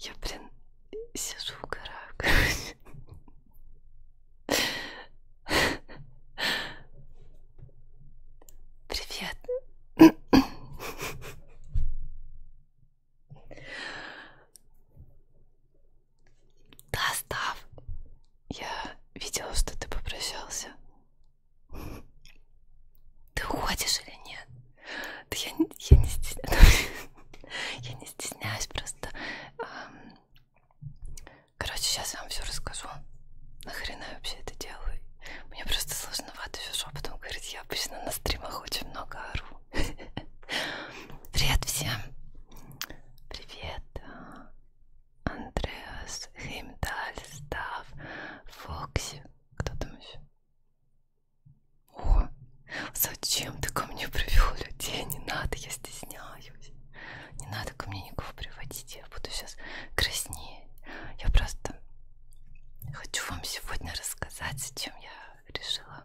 Я, блин, сижу в горах, короче. Привет. Да, Став, я видела, что ты попрощался. Ты уходишь или нет? Да я, я не стесняюсь. Я не стесняюсь просто. Короче, сейчас я вам все расскажу. Нахрена я вообще это делаю? Мне просто сложновато все шепотом говорить. Я обычно на стримах очень много ору. Привет всем! Привет! А, Андреас, Химдаль, Став, Фокси. Кто там еще? О, зачем ты ко мне привел людей? Не надо, я стесняюсь. Не надо ко мне никого приводить, я буду сейчас краснеть. Я просто хочу вам сегодня рассказать, зачем я решила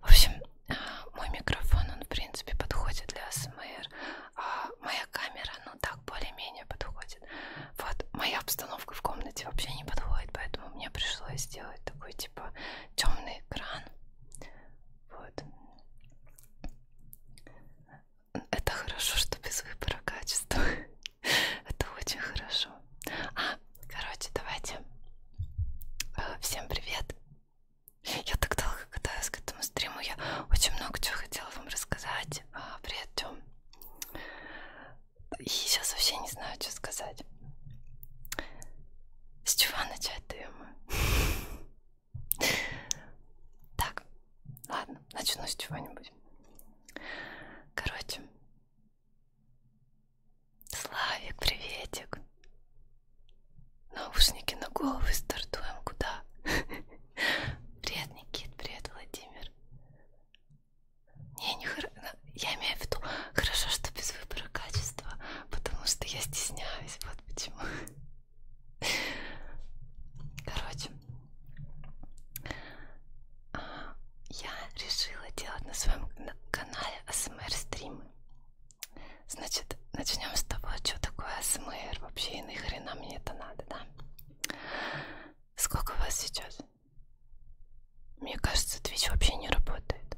В общем, э, мой микрофон, он в принципе подходит для АСМР, а моя камера, ну так, более-менее подходит. Вот, моя обстановка в комнате вообще не подходит, поэтому мне пришлось сделать такой, типа, темный экран. Вот. Это хорошо, что без выбора качества. Это очень хорошо. А, короче, давайте. Э, всем привет. Я так долго катаюсь к этому стриму. Я очень много чего хотела вам рассказать. А, привет, Тём. И сейчас вообще не знаю, что сказать. С чего начать, Тема? Так, ладно, начну с чего-нибудь. Короче, Славик, приветик. Наушники на головы стартуем куда? Привет, Никит, привет, Владимир. Не, не хор... Я имею в виду, хорошо, что без выбора качества, потому что я стесняюсь, вот почему. Короче, а, я решила делать на своем канале АСМР стримы. Значит, начнем с того, что такое СМР вообще и нахрена мне это надо, да? Сколько у вас сейчас? Мне кажется, Twitch вообще не работает.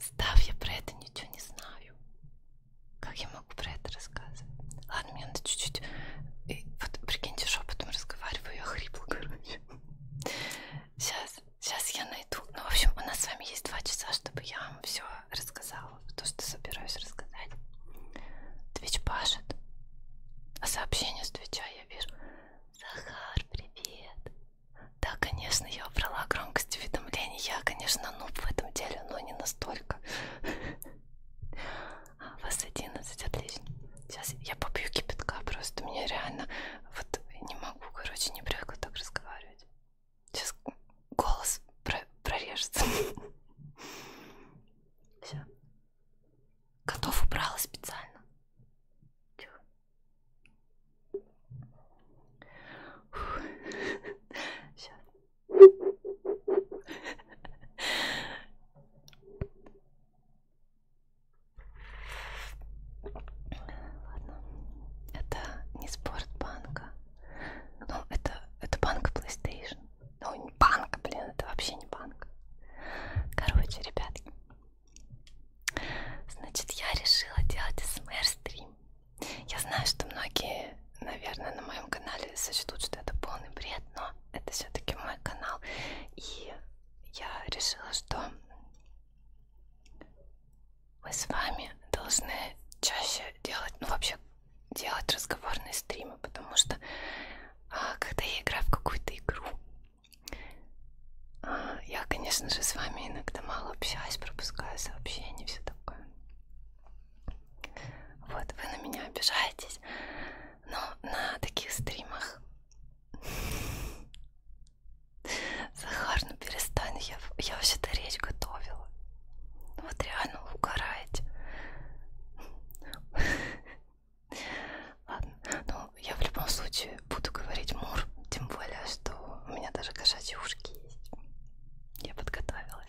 Став, я про это ничего не знаю. Как я могу про это рассказывать? Ладно, мне надо чуть-чуть... Вот, прикиньте, шепотом разговариваю, я хрипло, короче. Сейчас, сейчас я найду. Ну, в общем, у нас с вами есть два часа, чтобы я вам все рассказала. То, что собираюсь рассказать. Твич пашет. А сообщение с Твича я вижу. Захар, привет. Да, конечно, я убрала громкость уведомлений. Я, конечно, нуб в этом деле, но не настолько вас 11, отлично. Сейчас я попью кипятка, просто мне реально вот не могу, короче, не привыкла так разговаривать. Сейчас голос про прорежется. Все. Котов убрала специально. Тихо. Сейчас. Ладно. Это не спорт банка. Ну, это, это банка PlayStation. Ну, не банка, блин, это вообще не банка. Короче, ребятки. Значит, я решила делать СМР-стрим. Я знаю, что многие, наверное, на моем канале сочтут, что это полный бред но это все-таки мой канал, и я решила, что мы с вами должны чаще делать, ну вообще делать разговорные стримы, потому что а, когда я играю в какую-то игру, а, я, конечно же, с вами иногда мало общаюсь, пропускаю сообщения, все такое. Вот, вы на меня обижаетесь, но на таких стримах Захар, ну перестань, я, я вообще-то речь готовила. Вот реально угораете. Ладно, ну я в любом случае буду говорить мур, тем более, что у меня даже кошачьи ушки есть. Я подготовилась.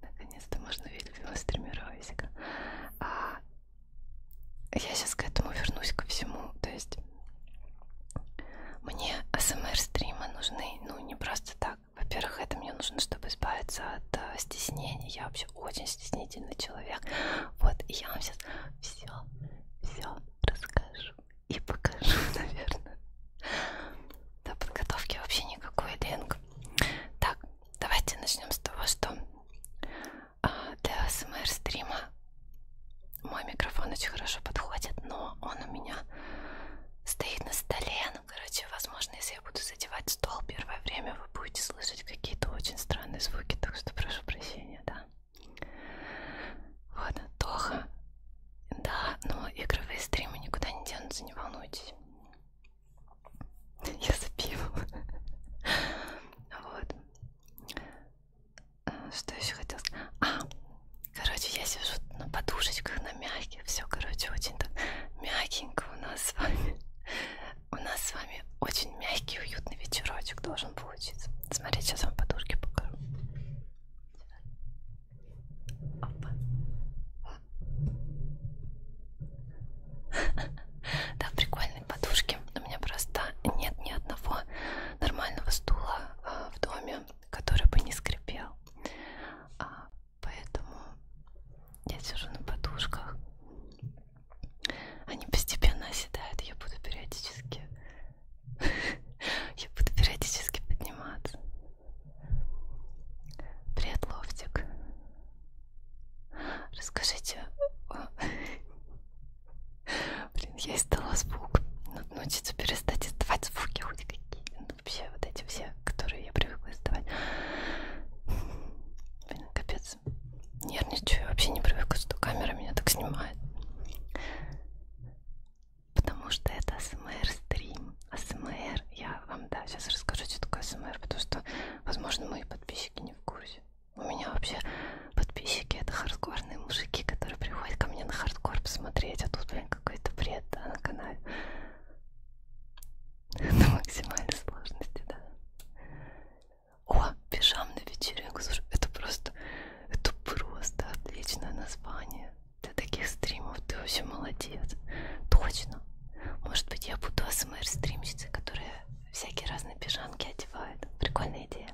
Наконец-то можно увидеть велостримировизика. А я сейчас к этому вернусь ко всему. То есть мне АСМР-стримы нужны, ну, не просто так. Во-первых, это мне нужно, чтобы избавиться от э, стеснения. Я вообще очень стеснительный человек. Вот, и я вам сейчас все, все расскажу и покажу, наверное до подготовки вообще никакой линк. Так, давайте начнем с того, что а, для СМР стрима мой микрофон очень хорошо подходит, но он у меня стоит на столе. Ну, короче, возможно, если я буду задевать стол первое время, вы будете слышать какие-то очень странные звуки, так что прошу прощения, да. Вот, Тоха. Да, но игровые стримы никуда не денутся, не волнуйтесь. Я за пивом. Вот. Э, что еще хотел сказать? А, короче, я сижу на подушечках, на мягких. Все, короче, очень так мягенько у нас с вами. У нас с вами очень мягкий, уютный вечерочек должен получиться. Смотрите, сейчас вам подушки покажу. Опа. Да, прикольные подушки. У меня просто нет ни одного нормального стула а, в доме, который бы не скрипел. А, поэтому я сижу на подушках. Они постепенно оседают. Я буду периодически... Я буду периодически подниматься. Привет, Лофтик. Расскажите... А, блин, я издала звук. Надо научиться перестать издавать звуки хоть какие. Ну, вообще, вот эти все, которые я привыкла издавать. Блин, капец. Нервничаю, я вообще не привыкла, что камера меня так снимает. Потому что это СМР-стрим. АСМР. Я вам, да, сейчас расскажу, что такое АСМР, потому что, возможно, мои подписчики не в курсе. У меня вообще подписчики это хардкорные мужики, которые приходят ко мне на хардкор посмотреть, а тут, блин, какой-то бред, да, на канале. На максимальной сложности, да. О, пижам на вечеринку, слушай, это просто, это просто отличное название до таких стримов, ты вообще молодец. Точно. Может быть, я буду АСМР-стримщицей, которая всякие разные пижамки одевает. Прикольная идея.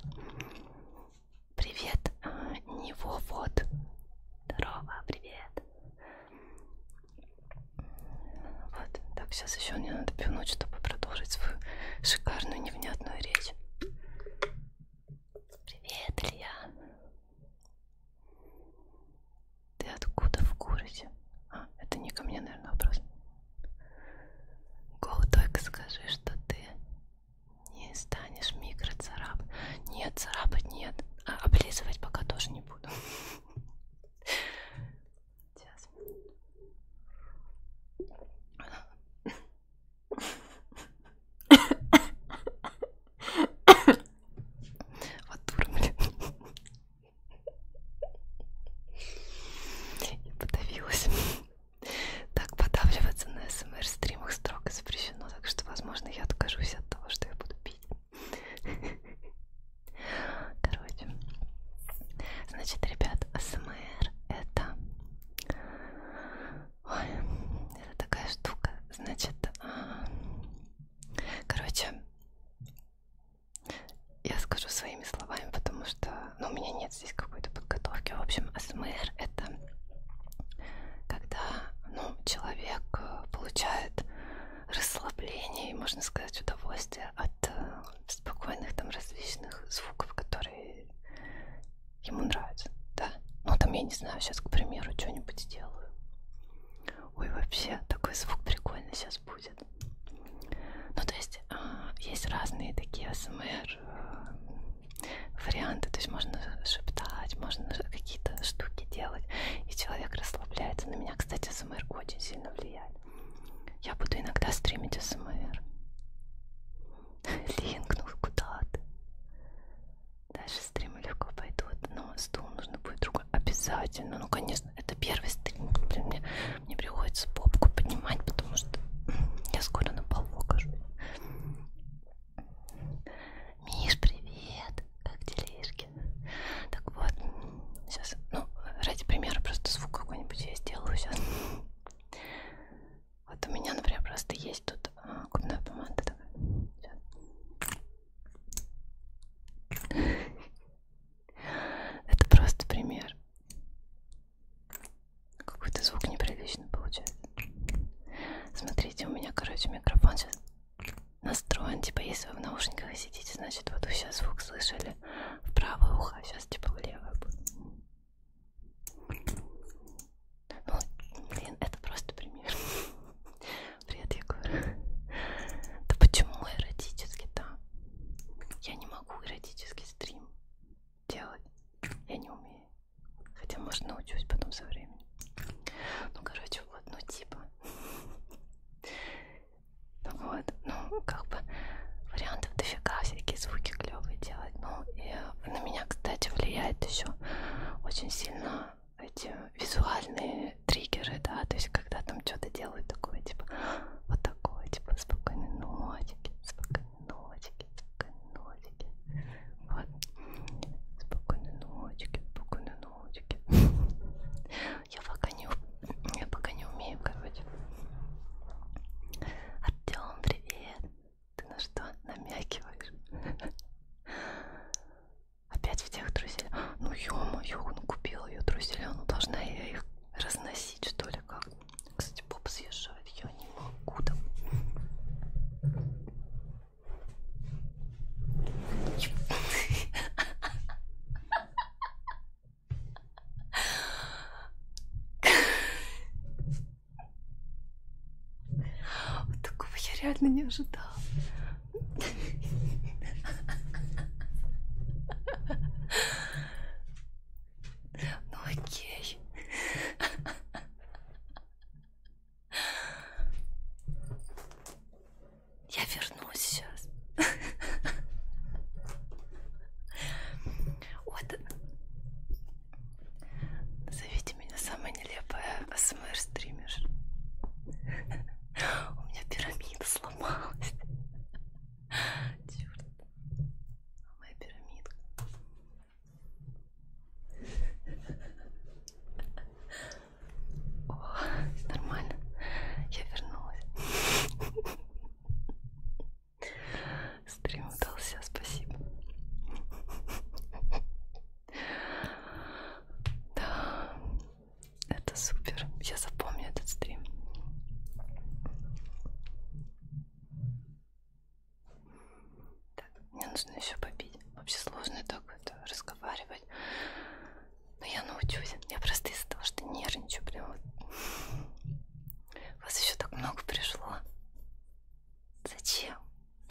Привет, а, него вот. Здорово, привет. Вот, так, сейчас еще мне надо пинуть, чтобы продолжить свою шикарную невнятную речь. Привет, Илья. Ты откуда в городе? А, это не ко мне, наверное, вопрос. Гоу, только скажи, что ты не станешь микроцарап. Нет, царапать нет. А облизывать пока тоже не буду. Сейчас. Вот дура, блин. И подавилась. Так, подавливаться на СМР-стримах строго запрещено, так что, возможно, я откажусь от того, что я буду пить. Короче. Значит, ребят, СМР это... Ой, это такая штука. Значит, а, Короче, я скажу своими словами, потому что ну, у меня нет здесь какой-то подготовки. В общем, АСМР это когда ну, человек э, получает расслабление и, можно сказать, удовольствие от э, спокойных там различных звуков, которые ему нравятся. Да? Ну там я не знаю, сейчас, к примеру, что-нибудь сделаю. Ой, вообще такой звук прикольный сейчас будет. Ну, то есть а, есть разные такие СМР э, варианты, то есть можно шептать, можно какие-то штуки делать, и человек расслабляется. На меня, кстати, СМР очень сильно влияет. Я буду иногда стримить СМР. Линк, ну куда ты? Дальше стримы легко пойдут, но стул нужно будет другой. Обязательно, ну конечно, это первый стрим. Блин, мне, мне приходится попку поднимать, потому что я скоро на полу окажу. Миш, привет! Как делишки? Так вот, сейчас, ну, ради примера, просто звук какой-нибудь я сделаю сейчас. Вот у меня, например, просто есть тут а, губная помада такая. Сейчас. Это просто пример. Какой-то звук неприличный получается. Смотрите, у меня, короче, микрофон сейчас настроен. Типа, если вы в наушниках сидите, значит, вот вы сейчас звук слышали в правое ухо, а сейчас типа в левое будет. Ну, блин, это просто пример. Привет, Егор. Да почему эротически-то? Я не могу эротический стрим делать. Я не умею. Хотя, может, научусь потом со временем. Ну, короче, вот, ну, типа. Ну вот, ну, как бы вариантов дофига, всякие звуки клевые делать. Ну, и на меня, кстати, влияет еще очень сильно эти визуальные триггеры, да, то есть когда там что-то делают такое, типа, вот такое, типа, спокойной ночики, спокойной ночики, спокойной ночики, вот, спокойной ночики, спокойной ночики. Я пока не, я пока не умею, короче. Артем, привет! Ты на что намякиваешь? Опять в тех труселях. Ну ё-моё, он купил ее труселя. Ну должна я их разносить, что ли, как? Кстати, поп съезжает. Я не могу там. Вот такого я реально не ожидала. Ну окей. Я вернусь сейчас. Вот. Зовите меня самая нелепая АСМР-стример. У меня пирамида сломалась. Черт. Моя пирамидка. О, нормально. Я вернулась. Стрим удался, спасибо. Да, это супер. Я запомню этот стрим. Так, мне нужно еще попить. Вообще сложно так это разговаривать. Но я научусь. Я просто из-за того, что нервничаю прям вот. Вас еще так много пришло. Зачем?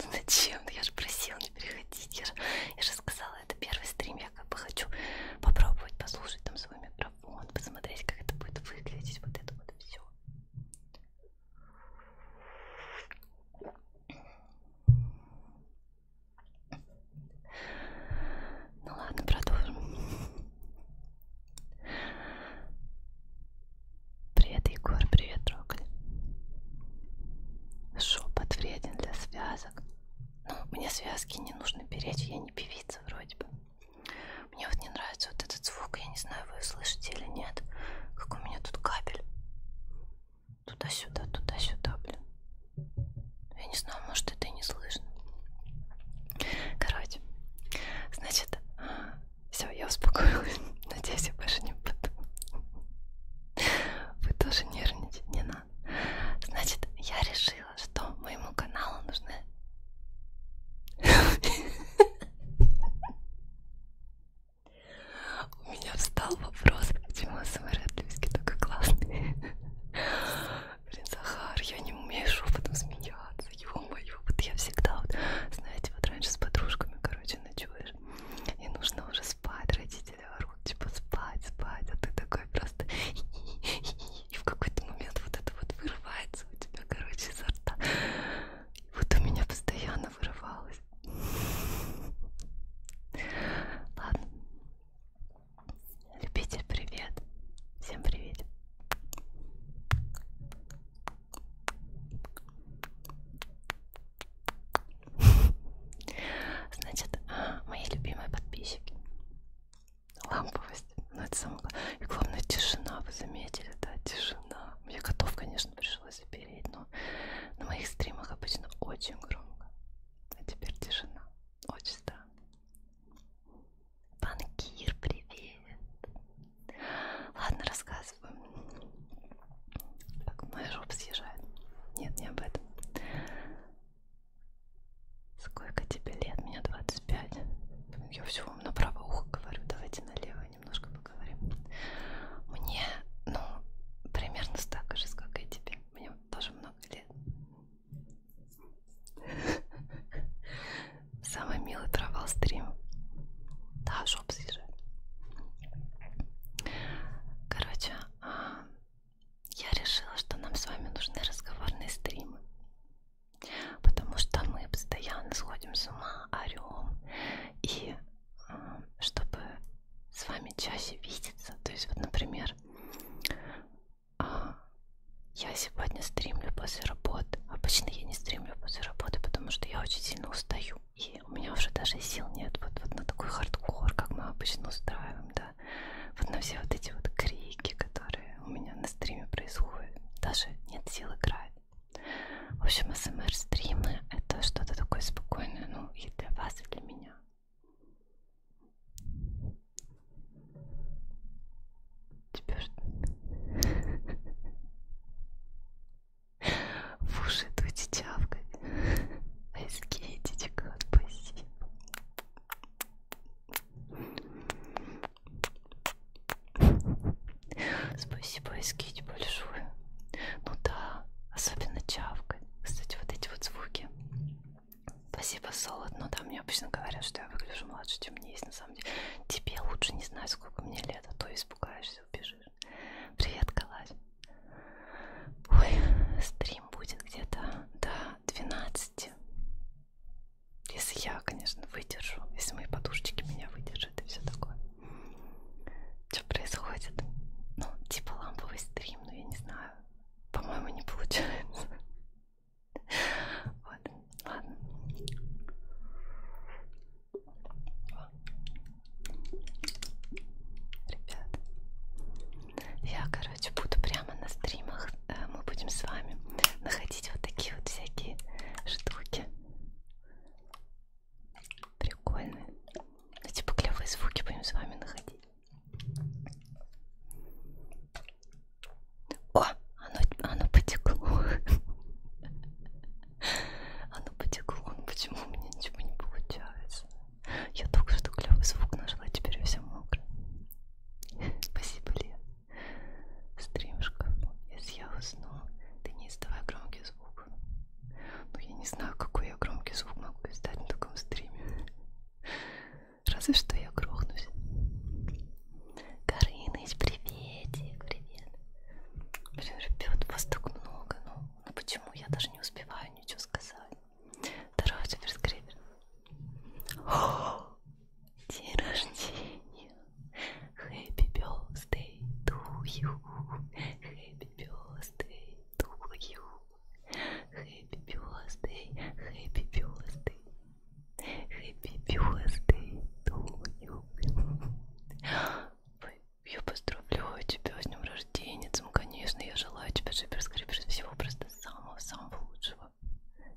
Ну зачем? Ну, я же просила не переходить. Я же, я же сказала сказала, это первый стрим, я как бы хочу попробовать послушать там свой микрофон, посмотреть, как это будет выглядеть, вот это вот все. Ну ладно, продолжим. Привет, Егор, привет, Роколь. Шепот вреден для связок. Ну, мне связки не нужно беречь, я не певица вроде бы. Мне вот не нравится вот этот звук, я не знаю, вы слышите или нет. Как у меня тут кабель. Туда-сюда, туда-сюда, блин. Я не знаю, может это и не слышно. Короче, значит, все, я успокоилась. Надеюсь, я больше не буду. Вы тоже нервничать не надо. Значит, я решила, что моему каналу нужны... У меня встал вопрос, почему СМР отлюски такой классный. Блин, Захар, я не умею шепотом смеяться, ё-моё. Вот я всегда, вот, знаете, вот раньше с подружками, короче, ночуешь, и нужно уже спать, родители родители орут, типа спать, спать, а ты такой просто и в какой-то момент вот это вот вырывается у тебя, короче, изо рта. Вот у меня постоянно вырывалось. Ладно. Любитель, привет. Всем привет. Значит, а, мои любимые подписчики. Ламповость. Ну, это самое главное. И главное, тишина. Вы заметили, да? Тишина. Мне котов, конечно, пришлось запереть, но на моих стримах обычно очень громко. А теперь тишина. Очень странно. Банкир, привет. Ладно, рассказываю. Как моя жопа съезжает. Нет, не об этом. Сколько тебе лет? Мне 25. Я все вам направо ухо говорю. Давайте налево немножко поговорим. Мне, ну, примерно столько же, сколько и тебе. Мне тоже много лет. Самый милый провал стрим. Да, жоп съезжает. Короче, а, я решила, что нам с вами нужны разговорные стримы. Потому что мы постоянно сходим с ума, орем. И э, чтобы с вами чаще видеться, то есть вот, например, а, я сегодня стримлю после работы. Обычно я не стримлю после работы, потому что я очень сильно устаю. И у меня уже даже сил нет вот, вот на такой хардкор, как мы обычно устраиваем, да вот на все вот эти вот крики, которые у меня на стриме происходят, даже нет сил играть. В общем, СМР-стримы это что-то такое спокойное, ну и для вас, и для меня. Теперь в уши идут чавкать. Айскетичка, спасибо. Спасибо, Эскить, большое. Ну да, особенно чавкой. Кстати, вот эти вот звуки. Спасибо, Солод. Ну да, мне обычно говорят, что я выгляжу младше, чем мне есть на самом деле. Тебе лучше не знать, сколько мне лет, а то испугаешься, убежишь. Привет, Калась. Ой, стрим будет где-то, да, 12. Если я, конечно, выдержу, если мои подушечки меня выдержат и все такое. Что происходит? Ну, типа ламповый стрим, но ну, я не знаю. По-моему, не получается. Вот, ладно. Ребят, я, короче, короче, буду прямо на стримах. Э, мы будем с вами находить вот такие вот всякие штуки. Прикольные. Ну, типа клевые звуки будем с вами находить. О, оно, оно потекло. Оно потекло. Почему у меня ничего не получается? Я только что клевый звук нашла, теперь все мокро. Спасибо, Лен. Стрим в шкафу. Если я усну, ты не издавай громкий звук. Ну, я не знаю, какой я громкий звук могу издать на таком стриме. Разве что я грохнусь. Кариныч, приветик, привет. Блин, ребят, вас так много, ну, ну почему я даже не успеваю ничего сказать? Второй суперскрипер. День рождения. Happy birthday to you. Happy birthday to you. Happy birthday. Happy birthday. Happy birthday to you. Я поздравляю тебя с днем рождения, конечно, я желаю тебе суперскрипер всего просто просто самого-самого лучшего.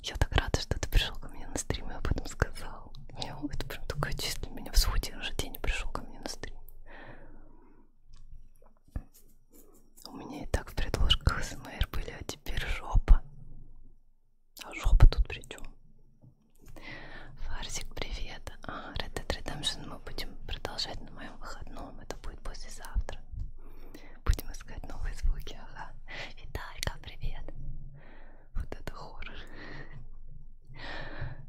Я так рада, что ты пришел ко мне на стрим и об этом сказал. Мне это прям такое чисто меня в сути же день пришел ко мне на стрим. У меня и так в предложках СМР были, а теперь жопа. А жопа тут при чем? Фарсик, привет. А, Red Dead Redemption мы будем продолжать на моем выходном. Это будет послезавтра. Будем искать новые звуки, ага. Виталька, привет. Вот это хоррор.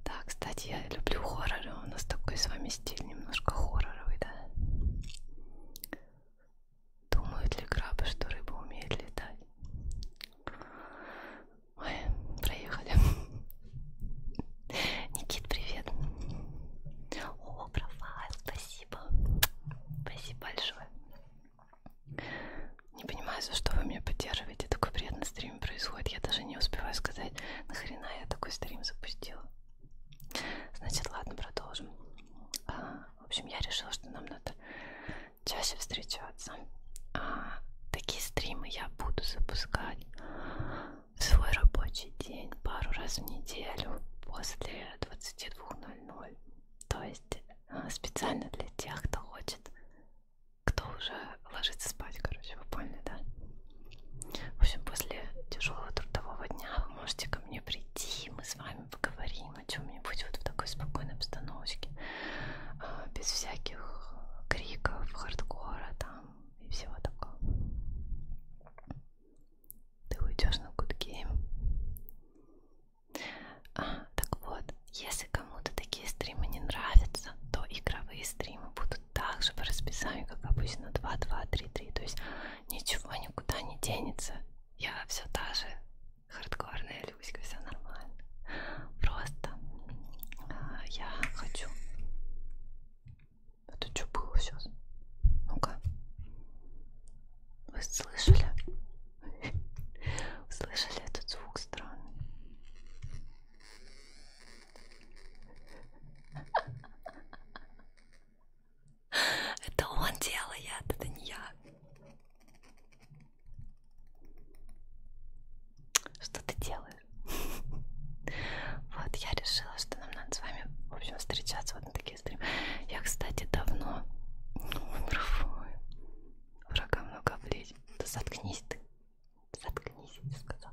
Да, кстати, я люблю хорроры. У нас такой с вами стиль немножко хорроровый, да? Думают ли крабы, что рыба умеет летать? Ой, проехали. Никит, привет. О, профайл, спасибо. Спасибо. Спасибо большое. Не понимаю, за что вы меня поддерживаете. Такой приятный стрим происходит. Я даже не успеваю сказать, нахрена я такой стрим запустила. Значит, ладно, продолжим. А, в общем, я решила, что нам надо чаще встречаться. А, такие стримы я буду запускать в свой рабочий день пару раз в неделю после 22.00. То есть а, специально для тех, кто хочет, кто уже ложится спать, короче, вы поняли, да? В общем, после тяжелого трудового дня вы можете ко мне прийти, мы с вами поговорим о чем-нибудь вот в такой спокойной обстановочке, а, без всяких криков, хардкора там и всего такого ты уйдешь на Гудгейм. А, так вот, если кому-то такие стримы не нравятся, то игровые стримы будут также по расписанию, как обычно, 2, 2, 3, 3. То есть ничего никуда не денется. Я все та же хардкорная Люська, все нормально. Просто а, я хочу это а что было сейчас? Ну-ка. Вы слышали? Слышали этот звук странный? Это он делает, это не я. Что ты делаешь? Вот я решила, что нам надо с вами, в общем, встречаться вот на короткий стрим. Я, кстати, давно... Ой, браво. Врага много влезет. Да заткнись ты. Заткнись, я сказал.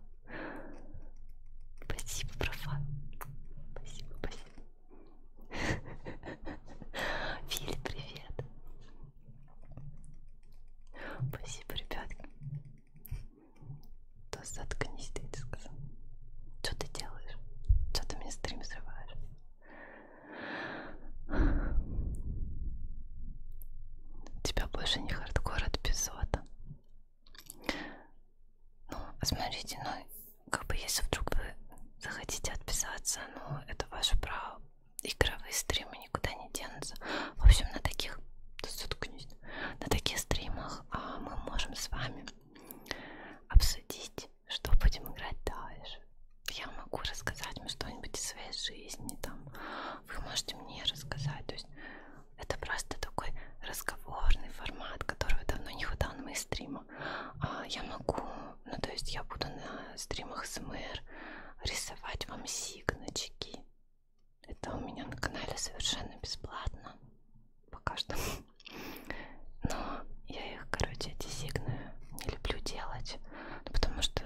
Спасибо, профан. Спасибо, спасибо. Фили, привет. Спасибо, ребятки просто заткнись, ты сказал. Что ты делаешь? Что ты мне стрим срываешь? У тебя больше не хардкор от эпизода. Ну, смотрите, ну, как бы если вдруг вы захотите отписаться, ну, это ваше право. Игровые стримы никуда не денутся. В общем, на таких, заткнись, на таких стримах а, мы можем с вами обсудить, что будем играть дальше. Я могу рассказать вам что-нибудь из своей жизни, там, вы можете мне рассказать. То есть это просто такой разговорный формат, которого давно не хватало на моих стримах. А я могу, ну то есть я буду на стримах СМР рисовать вам сигначки. Это у меня на канале совершенно бесплатно пока что. Но я их, короче, эти сигны не люблю делать, ну, потому что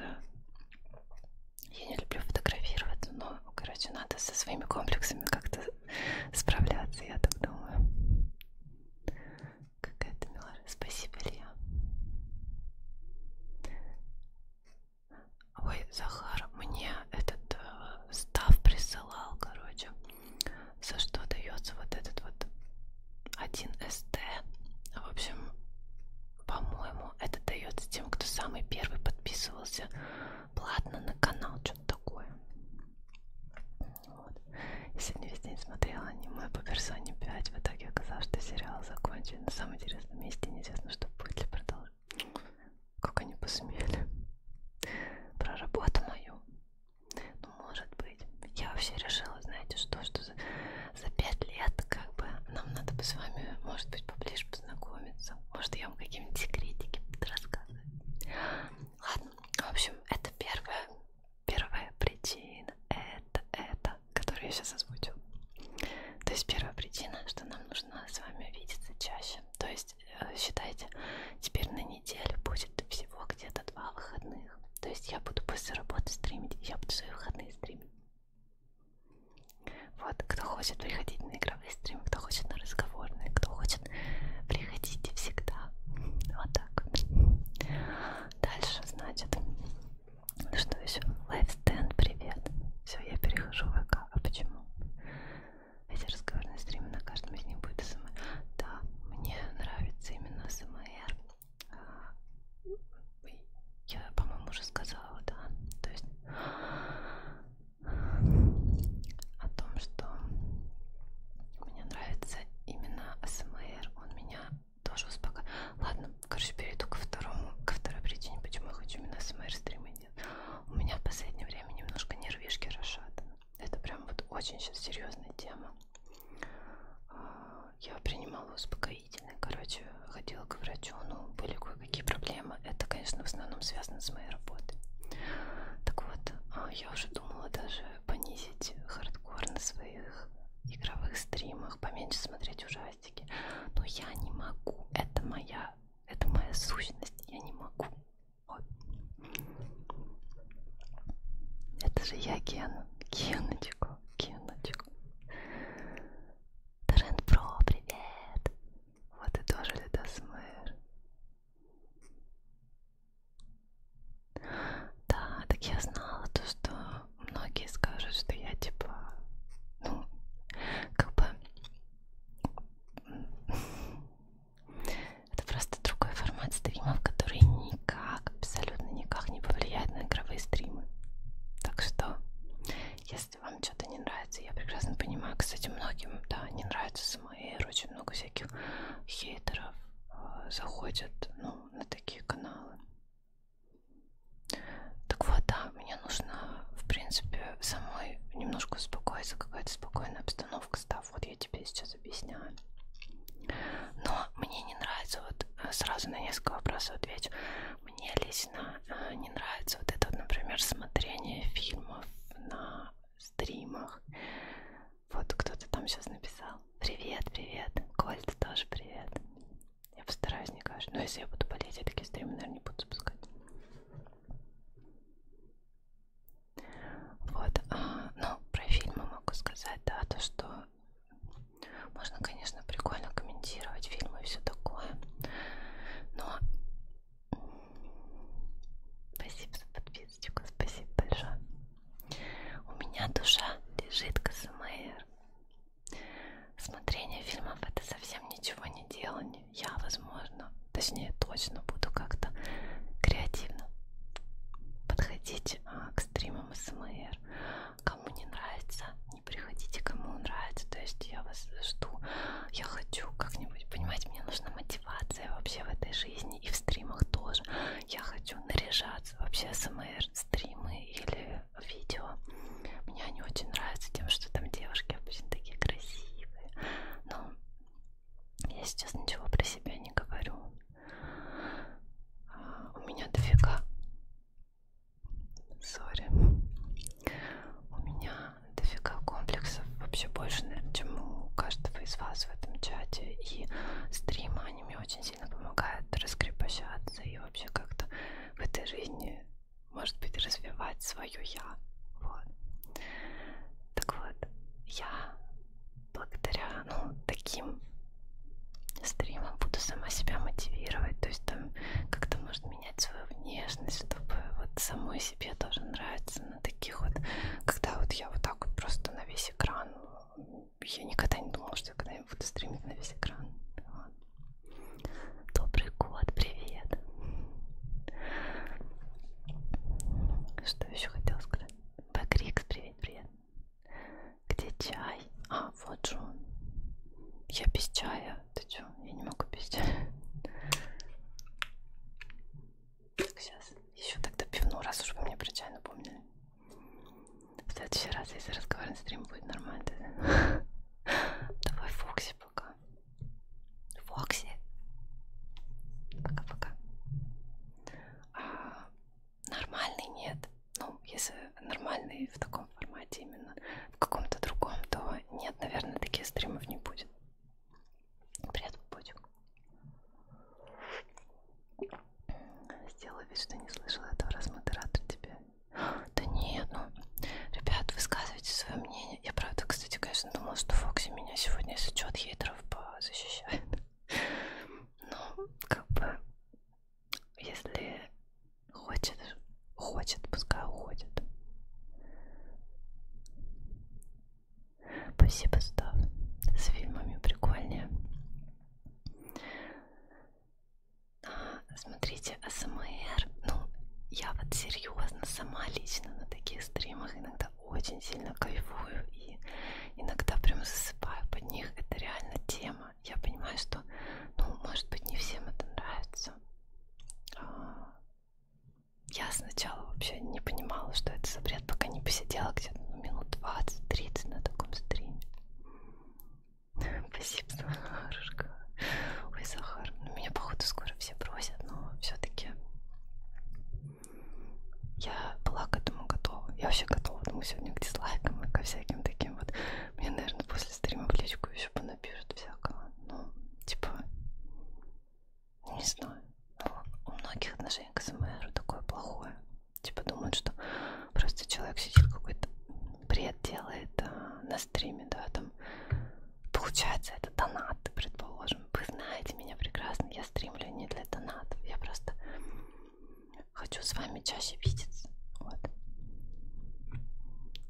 я не люблю фотографировать, но, короче, надо со своими комплексами как-то справляться, я так думаю. Какая-то милая. Спасибо, Илья. Ой, Захар, мне этот э, став присылал, короче за что дается вот этот вот 1СТ. А, в общем, по-моему, это дается тем, кто самый первый подписывался платно на канал, что-то такое. Вот. Я сегодня весь день смотрела аниме по персоне 5. В итоге оказалось, что сериал закончен на самом интересном месте. Неизвестно, что будет ли продолжить. Как они посмели. Про работу мою. Ну, может быть. Я вообще решила, знаете, что, что за, за пять лет, как бы, нам надо бы с вами, может быть, поближе познакомиться. Может, я вам какие-нибудь секретики буду рассказывать. Ладно, в общем, это первая, первая причина. Это, это, которую я сейчас озвучу. То есть первая причина, что нам нужно с вами видеться чаще. То есть Э, считайте, теперь на неделю будет всего где-то два выходных. То есть я буду после работы стримить, я буду свои выходные стримить. Вот, кто хочет приходить на игровые стримы, кто хочет на разговорные, кто хочет, приходите всегда. Вот так вот. Дальше, значит, ну что еще? Лайфстенд, привет. Все, я перехожу в ВК. А почему? Эти разговоры на стриме, на каждом из них будет СМР. Да, мне нравится именно СМР. А, я, по-моему, уже сказала, да. То есть о том, что мне нравится именно СМР. Он меня тоже успокаивает. Ладно, короче, перейду ко второму, ко второй причине, почему я хочу именно СМР стримы нет. У меня в последнее время немножко нервишки расшатаны это прям вот очень сейчас серьезная тема. А, я принимала успокоительные, короче, ходила к врачу, но ну, были кое-какие проблемы. Это, конечно, в основном связано с моей работой. Так вот, а, я уже думала даже понизить хардкор на своих игровых стримах, поменьше смотреть ужастики. Но я не могу. Это моя, это моя сущность. Я не могу. Ой. Это же я Ген. Геночку. Геночку. Тренд Про, привет. Вот и тоже ледосмыр. Да, так я знала то, что многие скажут, что я типа, ну, как бы это просто другой формат стримов, который никак, абсолютно никак не повлияет на игровые стримы. Так что, если вам что-то не нравится, я прекрасно понимаю, кстати, многим, да, не нравится СМР, очень много всяких хейтеров э, заходят, ну, на такие каналы. Так вот, да, мне нужно, в принципе, самой немножко успокоиться, какая-то спокойная обстановка стала состав. Вот я тебе сейчас объясняю. Но мне не нравится, вот э, сразу на несколько вопросов отвечу. Мне лично э, не нравится вот это, вот, например, смотрение фильмов на стримах. Вот кто-то там сейчас написал. Привет, привет. Кольт тоже привет. Я постараюсь не каждый. Но если я буду болеть, я такие стримы, наверное, не буду запускать. Вот, а, ну, про фильмы могу сказать, да, то, что можно, конечно, прикольно комментировать фильмы и все такое, но... Спасибо за подписочку, спасибо большое. У меня душа лежит к СМР. Смотрение фильмов это совсем ничего не делание. Я, возможно, точнее точно буду как-то креативно подходить а, к стримам СМР. Кому не нравится, не приходите, кому нравится. То есть я вас жду. Я хочу как-нибудь, понимаете, мне нужна мотивация вообще в этой жизни и в стримах тоже. Я хочу наряжаться. Вообще СМР, стримы или видео. Мне они очень нравятся тем, что там девушки обычно такие красивые. Но я сейчас ничего про себя не говорю. А, у меня дофига. Сори. У меня дофига комплексов вообще больше, наверное, чем у каждого из вас в этом чате. И стримы, они мне очень сильно помогают раскрепощаться и вообще как-то в этой жизни, может быть, развивать свое я. Вот. Так вот, я благодаря ну, таким стримам буду сама себя мотивировать. То есть там как-то может менять свою внешность, чтобы вот самой себе тоже нравится на таких вот, когда вот я вот так вот просто на весь экран. Я никогда не думала, что я когда-нибудь буду стримить на весь экран. Вот. Добрый год, привет! Что еще хотела сказать? Бакрикс, привет, привет! Где чай? А, вот же он. Я без чая. Ты чё? Я не могу без чая. Так, сейчас. Еще тогда пивну, раз уж вы мне про чай напомнили. В следующий раз, если разговаривать стрим, будет нормально. Давай Фокси пока. Фокси. Пока-пока. А, нормальный нет. Ну, если нормальный в таком формате именно, в каком-то другом, то нет, наверное, таких стримов не будет. Привет, Пупочек. Сделаю вид, что не слышала этого, раз модератор тебе. Да нет, ну, ребят, высказывайте свое мнение. Я правда, кстати, конечно, думала, что Фокси меня сегодня из отчет хейтеров позащищает. Ну, как бы, если хочет, хочет, пускай уходит. Спасибо, Став. С фильмами прикольнее. А, смотрите, АСМР. Ну, я вот серьезно сама лично на таких стримах иногда очень сильно кайфую и иногда прям засыпаю под них. Это реально тема. Я понимаю, что, ну, может быть, не всем это нравится. А, я сначала вообще не понимала, что это за бред, пока не посидела где-то ну, минут 20-30 на таком стриме. Спасибо, Сахарушка. Ой, Сахар, ну, меня, походу, скоро все бросят, но все-таки я была к этому готова. Я вообще готова к тому ну, сегодня к дизлайкам и ко всяким таким вот. Мне, наверное, после стрима в личку еще понапишут всякого. Ну, типа, не знаю. Ну, у многих отношений к СМР такое плохое. Типа думают, что просто человек сидит какой-то бред делает а, на стриме, да, там получается это донат, предположим. Вы знаете меня прекрасно, я стримлю не для донатов, я просто Хочу с вами чаще видеться. Вот.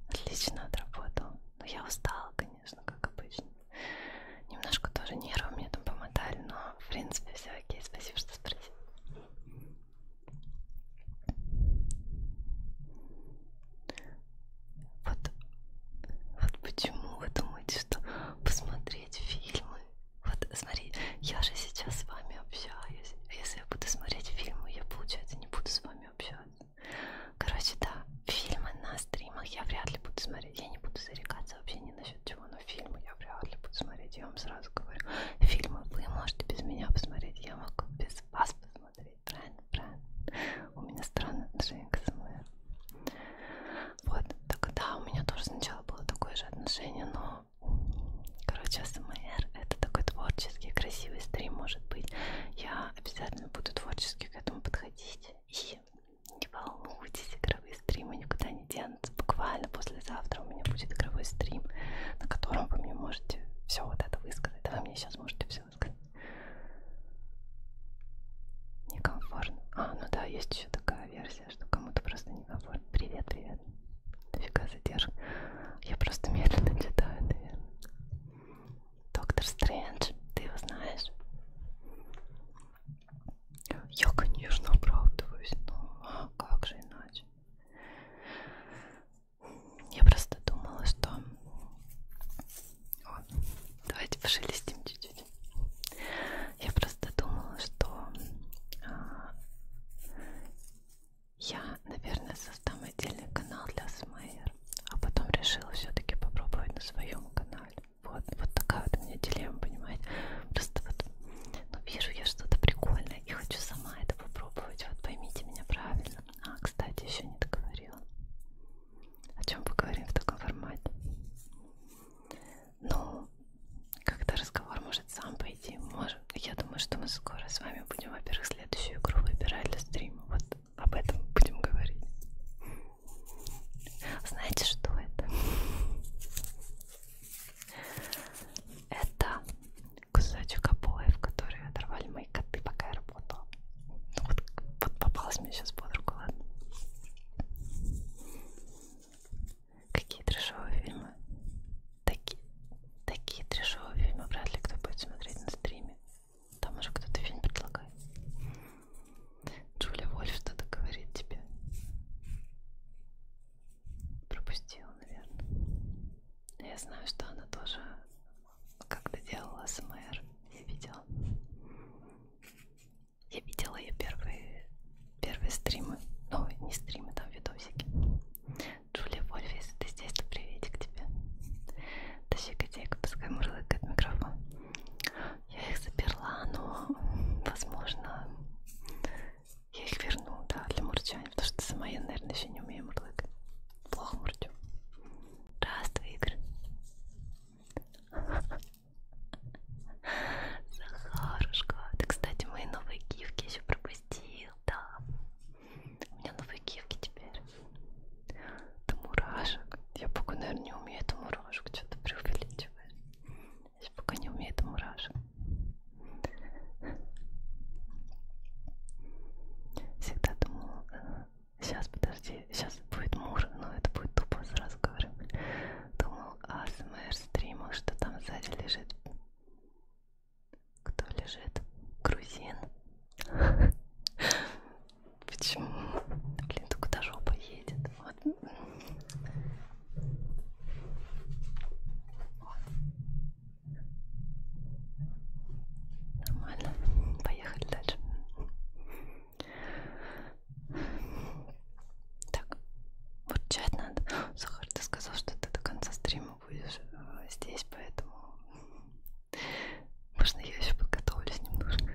Отлично отработал. Но ну, я устала, конечно, как обычно. Немножко тоже нервы мне там помотали, но в принципе все окей. Спасибо, что спросил. Вот, вот почему вы думаете, что посмотреть фильмы вот смотри, я же сейчас с вами общаюсь. А если я буду смотреть фильмы, я, получается, не буду с вами общаться. Короче, да, фильмы на стримах я вряд ли буду смотреть. Я не буду зарекаться вообще ни насчет чего, но фильмы я вряд ли буду смотреть. Я вам сразу говорю, фильмы вы можете без меня посмотреть, я могу без вас посмотреть. Правильно, правильно. У меня странное отношение к СМР. Вот, так да, у меня тоже сначала было такое же отношение, но Короче, АСМР это такой творческий, красивый стрим может быть. Я обязательно буду творчески к этому подходить. И не волнуйтесь, игровые стримы никуда не денутся. Буквально послезавтра у меня будет игровой стрим, на котором вы мне можете все вот это высказать. Да вы мне сейчас можете все высказать. Некомфортно. А, ну да, есть еще такая версия нельзя, что кому-то просто не комфортно. Привет, привет. Дофига задержка. Я просто медленно читаю, наверное. Доктор Стрэндж, ты его знаешь? Я, конечно, оправдываюсь, но а как же иначе? Я просто думала, что... О, давайте пошелестим чуть-чуть. Я просто думала, что а, я, наверное, создам отдельный канал для Смейер, а потом решила все-таки попробовать на своем канале. Вот, вот такая вот у меня дилемма, понимаете? Просто вот ну, вижу я что-то прикольное и хочу сама это попробовать. Вот поймите меня правильно. А, кстати, еще не договорила. О чем поговорим в таком формате? Ну, когда разговор может сам пойти, можем. Я думаю, что мы скоро с вами будем, во-первых, следующую игру выбирать для стрима. Вот об этом будем говорить. Знаете, что это? Это кусочек обоев, которые оторвали мои коты, пока я работала. Ну, вот, вот попалась мне сейчас под руку, ладно? Какие трешовые фильмы? Такие, такие трешовые фильмы вряд ли кто будет смотреть на стриме. Там уже кто-то фильм предлагает. Джулия Вольф что-то говорит тебе. Пропустила, наверное. Я знаю, что она тоже как-то делала СМР. Я видела. Я видела ее первые, первые стримы. Ну, не стримы, там видосики. Джулия Вольф, если ты здесь, то приветик тебе. Тащи котейка, пускай мурлыкает микрофон. Я их заперла, но, возможно, я их верну, да, для мурчания, потому что сама я, наверное, еще не умею мурлыкать. Плохо мурчу. Здравствуй, Игорь. Захарушка. Ты, кстати, мои новые гифки еще пропустил, да. У меня новые гифки теперь. Это мурашек. Я пока, наверное, не умею это мурашек. Что-то преувеличиваю. Я пока не умею это мурашек. Всегда думала, э, сейчас подожди, сейчас будет мур, но это будет тупо, сразу говорю. Думал, АСМР стримил, что там сзади лежит. Кто лежит? Грузин. Почему? Блин, только куда жопа едет? Вот. Нормально. Поехали дальше. Так, вот чат надо. Сахар, ты сказал, что ты до конца стрима будешь э, здесь, поэтому можно я еще подготовлюсь немножко.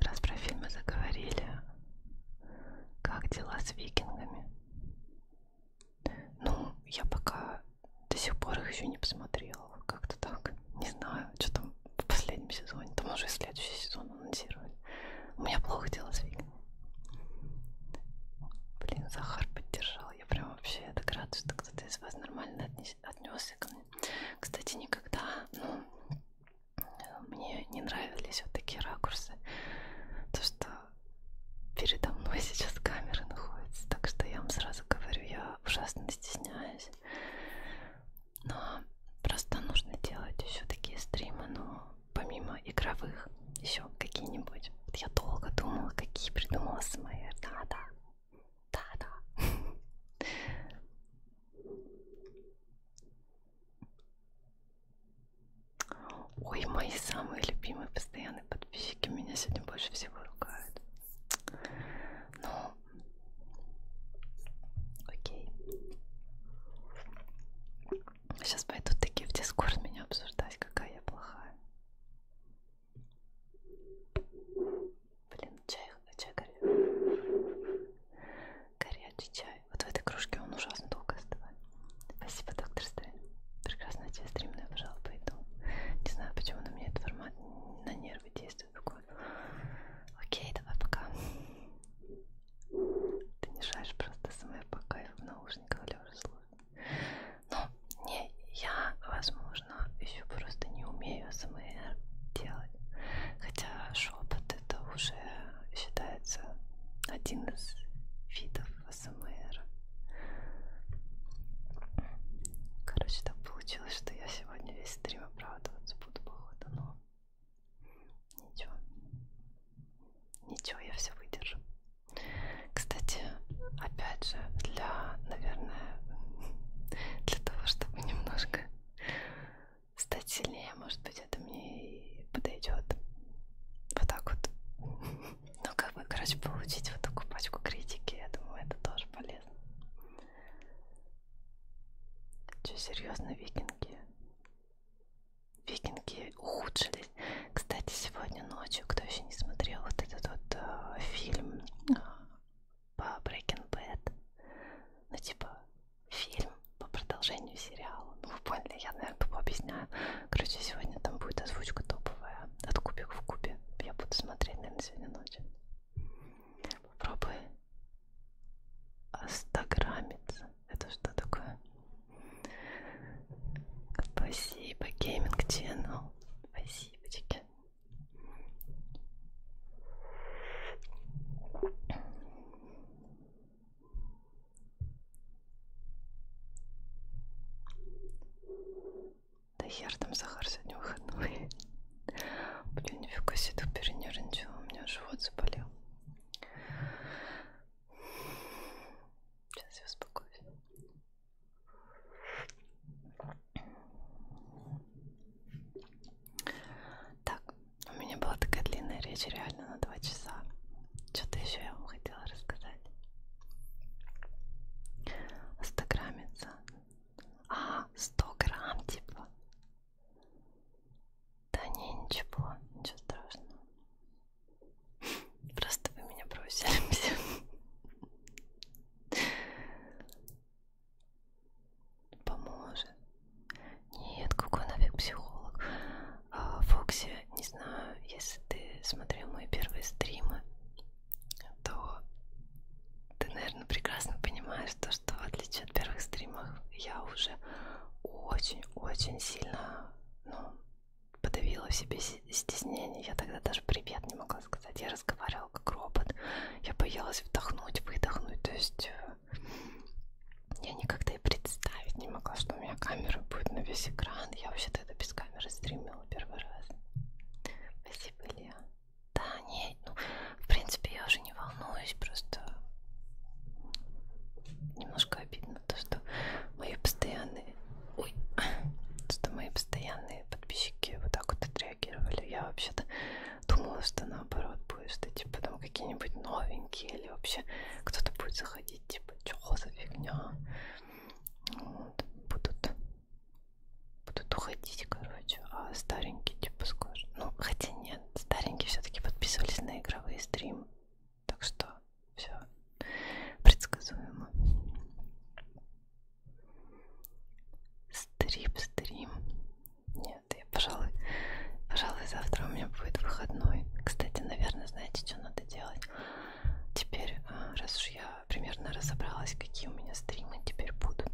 Раз про фильмы заговорили, как дела с викингами? Ну, я пока до сих пор их еще не посмотрела. Как-то так. Не знаю, что там в последнем сезоне. Там уже следующий сезон анонсировать. У меня плохо дело с Викой. Блин, Захар поддержал. Я прям вообще это рада, что кто-то из вас нормально отнес, отнесся ко мне. Кстати, никогда, ну, мне не нравились вот такие ракурсы. То, что передо мной сейчас камера находится. Так что я вам сразу говорю, я ужасно стесняюсь. Но просто нужно делать еще такие стримы, но помимо игровых, еще какие-нибудь? Вот я долго думала, какие придумала СМР. Да-да. Да-да. Ой, мои самые любимые постоянные подписчики меня сегодня больше всего ругают. Ну, окей. Сейчас пойдут такие в дискорд меня обсуждать, какая я плохая. Блин, чай, чай горячий. Горячий чай. Вот в этой кружке он ужасно долго остывает. Спасибо, доктор Стрэн. Прекрасно тебе стрим, но я, пожалуй, пойду. Не знаю, почему на меня этот формат на нервы действует. Окей, давай, пока. Ты не шаришь просто СМР по кайфу в наушниках лежа слушать. Ну, не, я, возможно, еще просто не умею СМР делать. Хотя шепот это уже считается один из видов СМР. Короче, так получилось, что я сегодня весь стрим оправдываться буду, походу, но Ничего. Ничего, я все выдержу. Кстати, опять же, для, наверное, для того, чтобы немножко стать сильнее, может быть, это мне и подойдет. Вот так вот. Ну, как бы, короче, получить вот такую пачку критики, я думаю, это тоже полезно. Че, серьезно, викинги? викинги ухудшились. Кстати, сегодня ночью, кто еще не смотрел вот этот вот э, фильм э, по Breaking Bad, ну типа фильм по продолжению сериала, ну вы поняли, я, наверное, тупо объясняю. Короче, сегодня там будет озвучка топовая от кубик в кубе. Я буду смотреть, наверное, сегодня ночью. Попробуй остограммиться. Это что такое? Спасибо, Gaming Channel. Спасибочки. Да хер там Захар сегодня выходной. Блин, нифига себе, тут перенервничала, у меня живот заболел. Сейчас я успокоюсь. Так, у меня была такая длинная речь реально на два часа. Что-то еще я вам хотела рассказать. Стограммица. А, 100 грамм типа. Да не, ничего, ничего страшного. Просто вы меня бросили все. Поможет. Нет, какой нафиг психолог. А, Фокси, не знаю, если ты смотрел мои первые стримы, то ты, наверное, прекрасно понимаешь то, что в отличие от первых стримов я уже очень-очень сильно ну, подавила в себе стеснение. Я тогда даже привет не могла сказать. Я разговаривала как робот. Я боялась вдохнуть, выдохнуть. То есть э, я никогда и представить не могла, что у меня камера будет на весь экран. Я вообще тогда без камеры стримила первый раз. Спасибо, Лео. Да, нет, ну, в принципе, я уже не волнуюсь, просто немножко обидно приятно, то, что мои постоянные, ой, что мои постоянные подписчики вот так вот отреагировали. Я вообще-то думала, что наоборот будет, что типа там какие-нибудь новенькие или вообще кто-то будет заходить, типа, чего за фигня. Вот, будут, будут уходить, короче, а старенькие типа скажут. Ну, хотя нет, старенькие все-таки подписывались на игровые стримы. Так что все предсказуемо. Стрип, стрим. Нет, я, пожалуй, пожалуй, завтра у меня будет выходной. Кстати, наверное, знаете, что надо делать? Теперь, а, раз уж я примерно разобралась, какие у меня стримы теперь будут.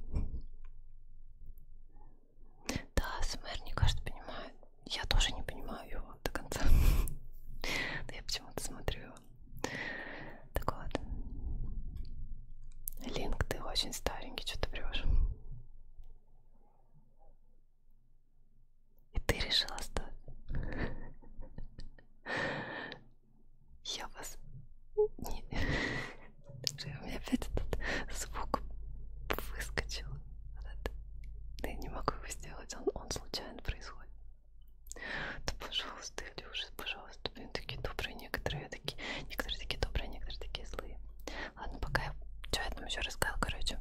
Да, СМР, не кажется, понимает. Я тоже не понимаю его до конца. Да я почему-то смотрю его. Так вот. Линк, ты очень старенький, что ты врешь. И ты решила стать. Я вас... Не... У меня опять этот звук выскочил. Я не могу его сделать делать, он, он случайно происходит. Да пожалуйста, Илюша, пожалуйста, блин, такие добрые, некоторые такие, некоторые такие добрые, некоторые такие злые. Ладно, пока я что я там еще рассказал, короче.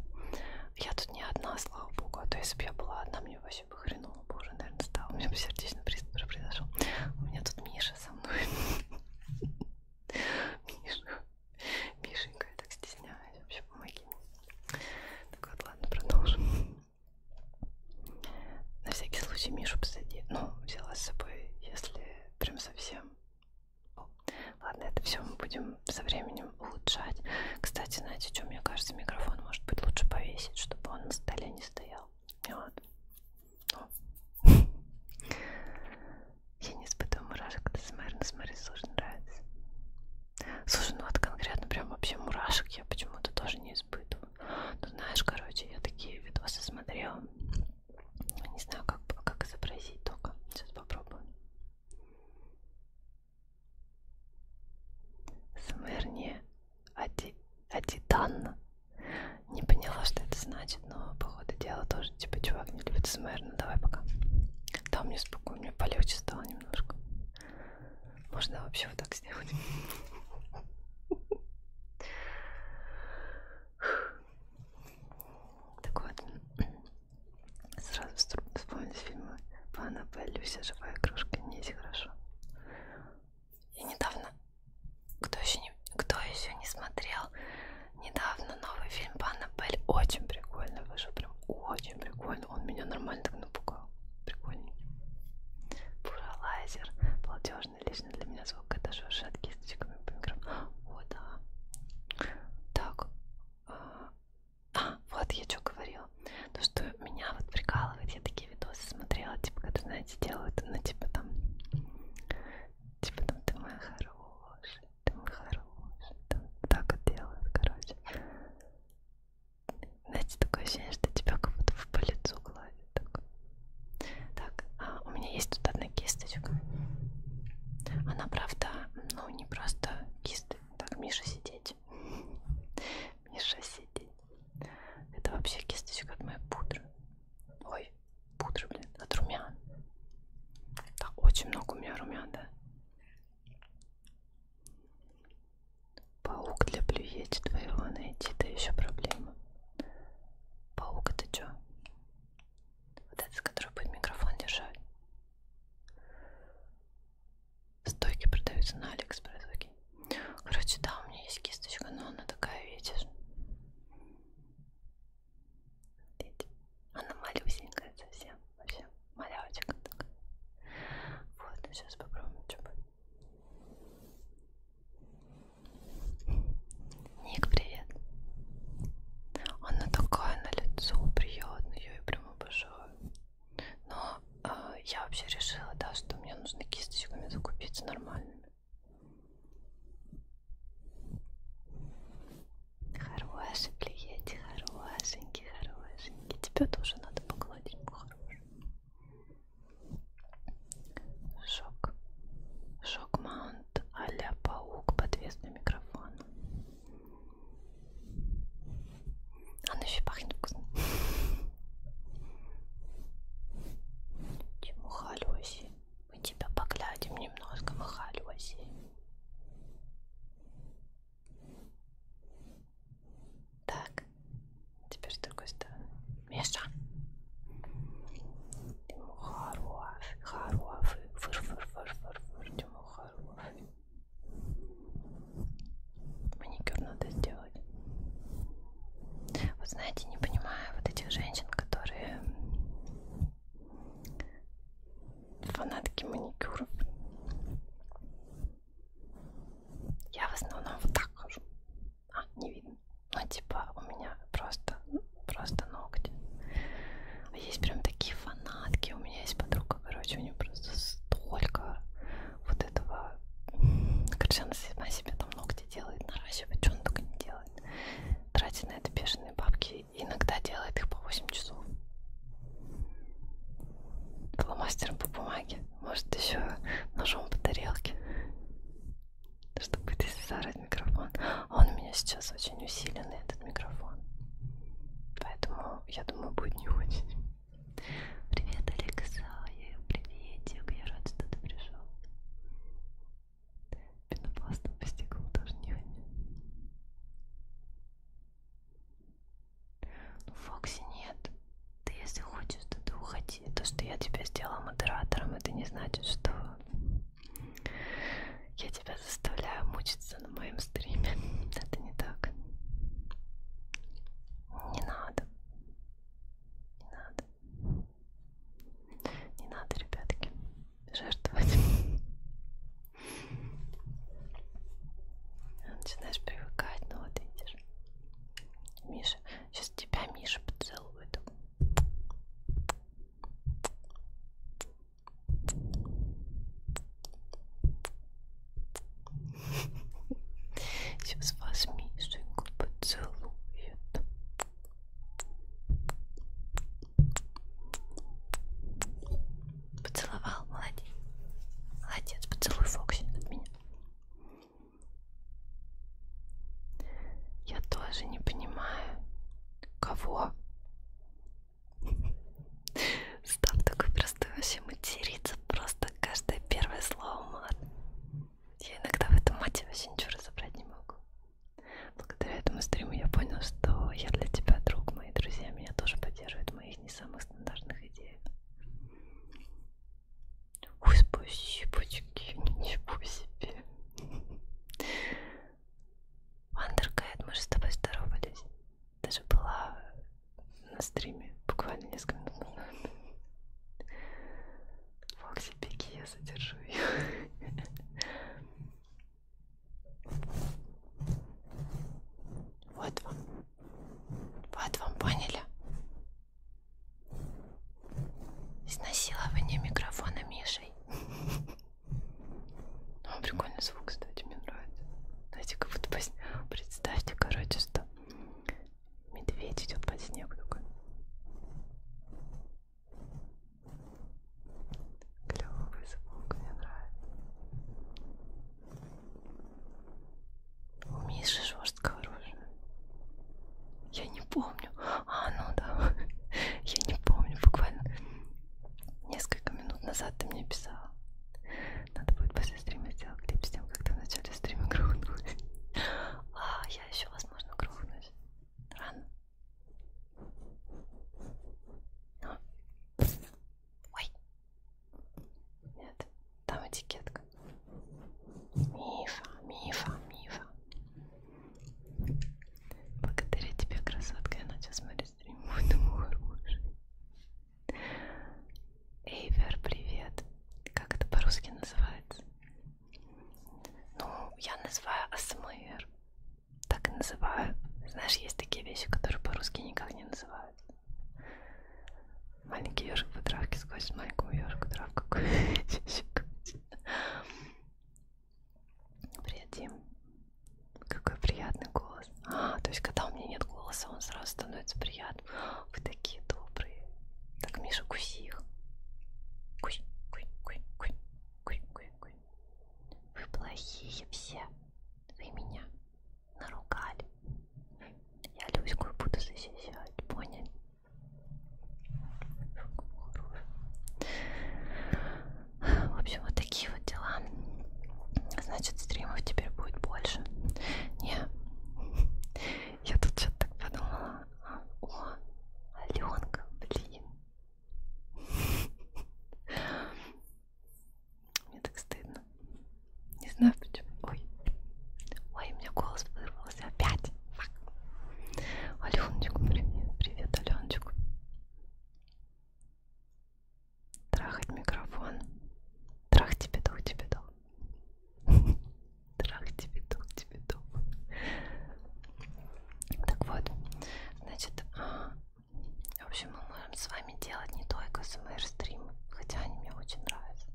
Я тут не одна, слава богу, а то если бы я была одна, мне вообще бы хреново бы уже, наверное, стало. У меня бы сердечный приступ уже произошел. У меня тут Миша со мной. Миша. Мишенька, я так стесняюсь, вообще помоги мне. Так вот, ладно, продолжим. На всякий случай Мишу посади. Ну, взяла с собой, если прям совсем. Ладно, это все мы будем со временем улучшать. Кстати, знаете, что мне кажется, микрофон может быть лучше повесить, чтобы он на столе не стоял. Вот. Я не испытываю мурашек, когда СМР, но СМР тоже нравится. Слушай, ну вот конкретно прям вообще мурашек я почему-то тоже не испытываю. Ну знаешь, короче, я такие видосы смотрела. Не знаю, как, как изобразить только. Сейчас попробую. Смерни ади, Адитан. Не поняла, что это значит, но, походу, дело тоже, типа, чувак не любит СМР, ну давай пока. Да, мне спокойно, мне полегче стало немножко. Можно вообще вот так сделать. Так вот, сразу вспомнить фильмы по Аннабель, «Люся, живая игрушка», мне есть хорошо. Я недавно, кто еще не, кто еще не смотрел, недавно новый фильм по Аннабель, очень прикольно вышел, прям очень прикольно, он меня нормально так напугал. Прикольненький. Буралайзер. Платежный лично для меня звук. Это шуршат кисточками по микрофону. О, да. Так. А, а вот я что говорила. То, что меня вот прикалывает, я такие видосы смотрела, типа, которые, знаете, делают, ну, типа там, типа там, ты моя хорошая, там хороший, там так делают, короче. Знаете, такое ощущение, что тебя как будто по лицу гладит. Так, так а у меня есть тут одна кисточка. Она, правда, ну не просто кисты. Так, Миша, сидеть. Миша, сидеть. Это вообще кисточка от моей пудры. Ой, пудры, блин, от румян. Так, очень много у меня румян, да? Паук для плюете твоего найти, да еще проблема. Паук это что? Вот этот, который будет микрофон держать. Стойки продаются на Алиэкспресс. Окей. Короче, да, у меня есть кисточка, но она такая, видишь. Видите? Она малюсенькая совсем вообще малявочка такая. Вот, ну сейчас попробуем, что будет. Ник, привет. Она такая на лицо приятная, я ее прям обожаю. Но э, я вообще решила, да, что мне нужно кисточками закупиться нормальными. Хорошенький, ети, хорошенький, хорошенький. Тебе тоже надо погладить хороший. Шок. Шок-маунт а-ля паук подвес на микрофон. Он еще пахнет вкусно. Чему халюси? Мы тебя поглядим немножко, мы халюси. Так, теперь с другой стороны. Миша. Тему хороший, хороший, фыр фыр фыр фыр фыр Тему хороший. Маникюр надо сделать. Вот знаете, не понимаю вот этих женщин, которые фанатки маникюров. Я в основном вот так хожу. А, не видно. Ну, типа, у меня просто, просто ногти. А есть прям такие фанатки. У меня есть подруга, короче, у нее просто столько вот этого. Короче, она сама себе там ногти делает, наращивает, что она только не делает. Тратит на это бешеные бабки. Иногда делает их по 8 часов. Фломастером по бумаге. Может, еще ножом по тарелке. Чтобы ты заорать микрофон. Он у меня сейчас очень усиленный, этот микрофон. Поэтому, я думаю, будет не очень. Привет, Алексай. Приветик. Я рад, что ты пришел. Пенопластом по стеклу тоже не ходит. Ну, Фокси, нет. Ты если хочешь, то ты уходи. То, что я тебя сделала модератором, это не значит, что я тебя заставляю мучиться на моем стриме. Это не так. Не надо. Не надо. Не надо, ребятки, жертвовать. Начинаешь привыкать, ну вот видишь. Миша, сейчас тебя Миша поцелует. Сейчас вас Мишеньку поцелует. Поцеловал, молодец. Молодец, поцелуй Фокси от меня. Я тоже не понимаю. Кого? Став такой простой вообще материться. Просто каждое первое слово мат. Я иногда в этом мате вообще ничего разобрать не могу. Благодаря этому стриму я понял, что я для тебя друг, мои друзья меня тоже поддерживают, мои из не самых стандартных идей. Ой, спасибочки, ничего себе. Андеркайт, мы же с тобой здоровались. Ты же была на стриме буквально несколько минут назад. Фокси, беги, я задержу ее. Вот вам вот вам поняли. Изнасилование микрофона Мишей. О, прикольный звук, кстати, мне нравится. Знаете, как будто представьте, короче, что медведь идет под снег такой. Клевый звук, мне нравится. У меня же жесткое оружие. Я не помню. А, ну да. Я не помню. Буквально несколько минут назад ты мне писала. Надо будет после стрима сделать клип с тем, как ты в начале стрима грохнулась. А, я еще, возможно, грохнусь. Рано. Но. Ой, нет, там этикетка. Миша, Миша, Миша. Благодаря тебе, красотка, я начал смотреть стрим. Мой думаю, хороший. Эйвер, привет. Как это по-русски называется? Ну, я называю АСМР. Так и называю. Знаешь, есть такие вещи, которые по-русски никак не называют. Маленький ежик по травке сквозь маленькую ежику травку. Приятим. Какой приятный голос. А, то есть когда у меня нет голоса, он сразу становится приятным. Вы такие добрые. Так, Миша, куси их. Кусь, кусь, кусь, кусь, кусь, кусь, кусь. Вы плохие все. Вы меня наругали. Я Люську буду защищать, поняли? В общем, вот такие вот дела. Значит, стримов теперь будет больше. Не, я тут что-то так подумала. О, Аленка, блин. Мне так стыдно. Не знаю почему. Ой. Ой, у меня голос вырвался опять. Фак. Аленочку, привет. Привет, Аленочку. Трахать микрофон. Трах тебе дух, тебе дух. Трах тебе дух, тебе дух. Так вот, значит, а, в общем, мы можем с вами делать не только смр-стримы, хотя они мне очень нравятся.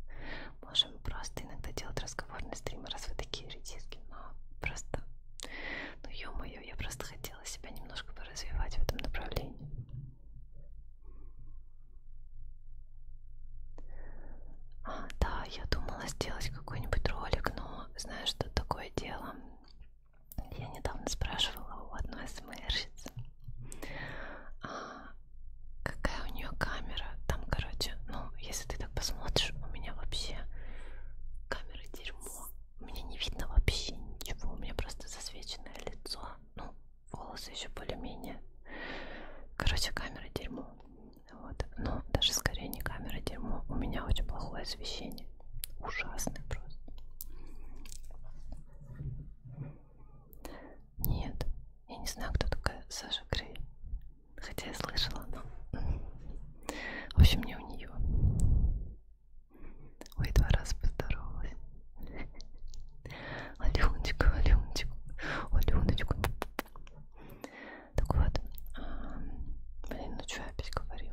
Можем просто иногда делать разговорные стримы, раз вы такие редиски, но просто... Ну, ё-моё, я просто хотела себя немножко поразвивать в этом направлении. А, да, я думала сделать какой-нибудь ролик, но знаешь, что такое дело? Я недавно спрашивала у одной смрщицы. А, какая у нее камера? Там, короче, ну, если ты так посмотришь, у меня вообще камера дерьмо. Мне не видно вообще ничего. У меня просто засвеченное лицо. Ну, волосы еще более-менее. Короче, камера дерьмо. Вот. Но даже скорее не камера дерьмо. У меня очень плохое освещение. Ужасное просто. Нет, я не знаю, кто такая Саша Грей. Хотя я слышала, но... В общем, не у нее. Ой, два раза поздоровалась. Аленочку, Аленочку, Аленочку. Так вот, а, блин, ну что я опять говорю?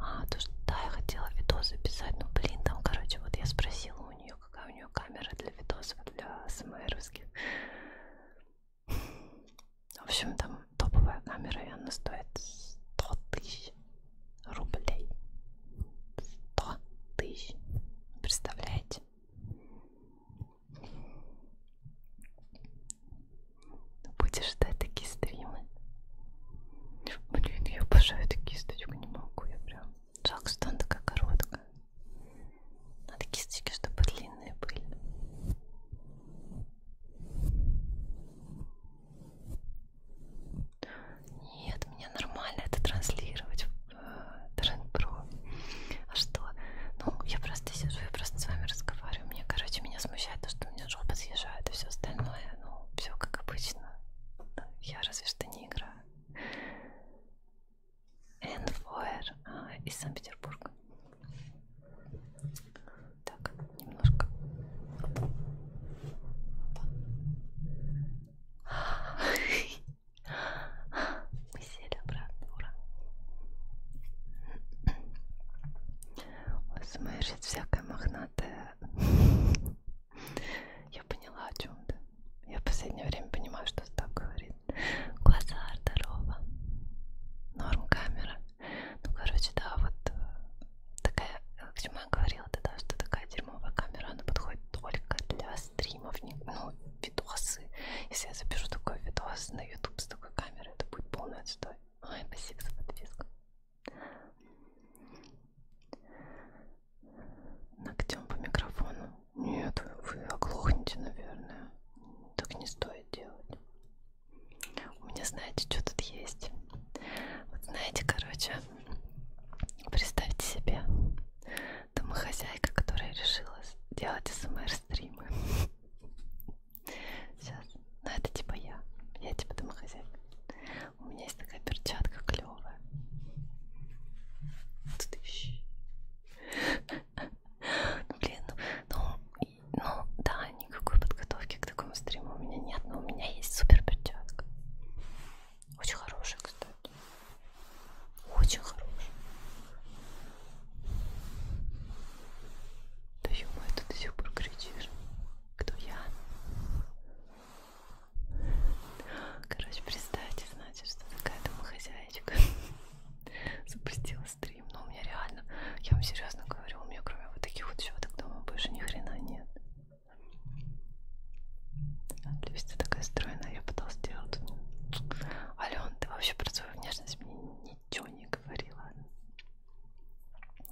А, то, что да, я хотела видос записать, но, ну, блин, там, короче, вот я спросила у нее, какая у нее камера для видосов, для смэровских. В общем, там топовая камера, и она стоит 100 тысяч рублей. 100 тысяч. Представляете? Будешь ждать такие стримы? Блин, я обожаю такие статьи, не могу, я прям... Жалко, что она такая короткая. Надо кисточки, чтобы длинные были. Нет, мне нормально это транслировать в Тренд-Про. Э, а что? Ну, я просто сижу, я просто с вами разговариваю. Мне, короче, меня смущает то, что у меня жопа съезжает и все остальное. Ну, все как обычно. Я разве что не играю. Энфоер а, из Санкт-Петербурга. Так, немножко. Опа. Опа. Мы сели обратно, ура. Ой, смотри, всякое мохнатое. Я поняла, о чем ты. Я в последнее время понимаю, что Став говорит. Глаза, здорово. Норм камера. Ну, короче, да, вот э, такая, как Тима говорила, да, что такая дерьмовая камера, она подходит только для стримов, не, ну, видосы. Если я запишу такой видос на YouTube с такой камерой, это будет полный отстой. Ой, спасибо за подписку ногтем по микрофону. Нет, вы оглохнете, наверное. Так не стоит делать. У меня, знаете, что тут есть? Вот знаете, короче, представьте себе домохозяйка, которая решила делать СМР-стримы. Сейчас. Ну, это типа я. Я типа домохозяйка. У меня есть такая перчатка клевая. Блин, ну, ну, ну да, никакой подготовки к такому стриму у меня нет, но у меня есть супер перчатка. Очень хорошая, кстати. Очень хорошая. Да -мо, ты до сих пор кричишь. Кто я? Короче, представьте, значит, что такая домохозяйка запустила стрим, но ну, у меня реально, я вам серьезно говорю, у меня кроме вот таких вот щеток дома больше ни хрена нет. Листья такая стройная, я пыталась сделать. Ален, ты вообще про свою внешность мне ничего не говорила.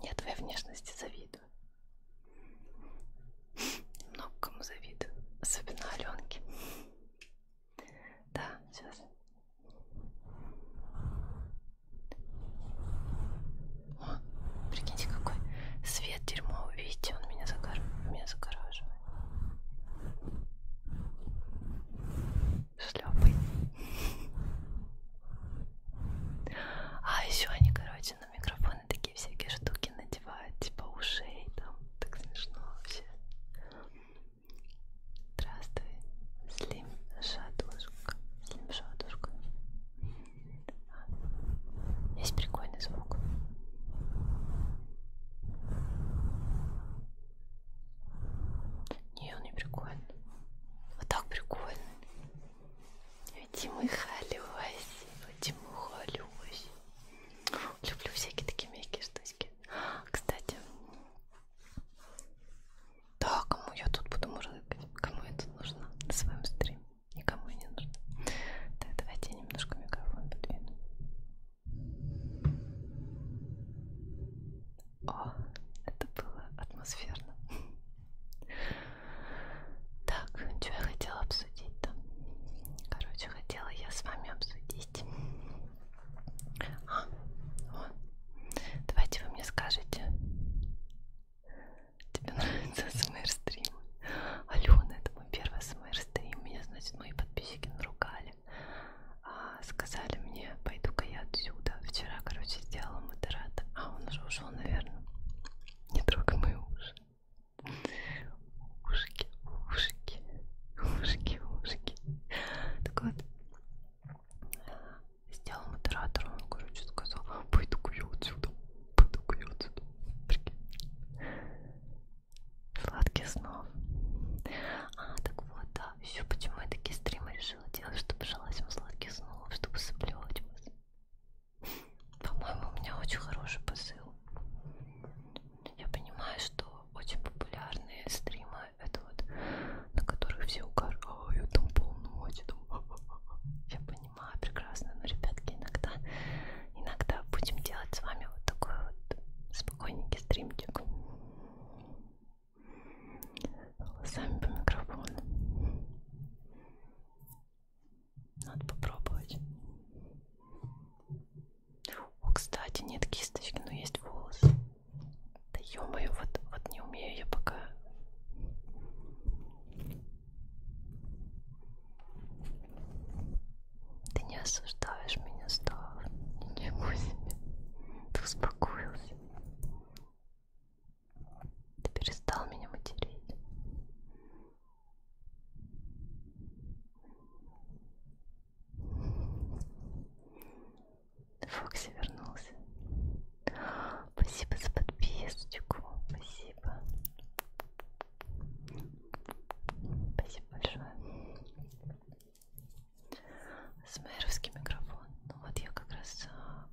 Я твоей внешности завидую. Много кому завидую, особенно Аленке. Да, сейчас. О, прикиньте, какой свет дерьмо. Видите, он меня, загор... меня загораживает. Шлепай. А еще они, короче, на микрофон телефоны такие всякие штуки надевают, типа ушей там, так смешно вообще. Здравствуй, Слим Шатушка. Слим Шатушка. Есть прикольный звук. Не, он не прикольный. Вот так прикольный. Ведь мы халюсь, ведь мы халюсь. Люблю всякие такие мягкие штучки. Кстати, да, кому я тут буду мурлыкать? Кому я тут нужна на своем стриме? Никому не нужно. Так, давайте я немножко микрофон подвину. О, это было атмосферно. Так, что я хотела обсудить там? Короче, все хотела я с вами обсудить. А, вот. Давайте вы мне скажете. Тебе нравится смр-стрим? Алена, ну, это мой первый смр-стрим. Меня, значит, мои подписчики наругали. А, сказали мне, пойду-ка я отсюда. Вчера, короче, сделала модерата. А, он уже ушел, наверное. Не трогай мои уши. Ушки, ушки, ушки, ушки. Так вот, сделал модератором, он, короче, сказал, пойду-ка я отсюда, пойду-ка я отсюда. Сладких снов. А, так вот, да, еще почему я такие стримы решила делать, чтобы желать вам сладких снов, чтобы соблевать вас. По-моему, у меня очень хороший посыл я понимаю, что очень популярные стримы это вот на которых все угорают, там полночь, там я понимаю прекрасно, но ребятки иногда, иногда будем делать с вами вот такой вот спокойненький стримчик сами по микрофону надо попробовать. О, кстати, нет кисточки, но есть волос. Да ё-моё, вот, вот не умею я пока. Ты не осуждаешь меня, Став. Ничего себе. Ты успокоился. Ты перестал меня материть. Фокси вернулся. Спасибо за подписочку. Спасибо. Спасибо большое. Смеровский микрофон. Ну вот я как раз а,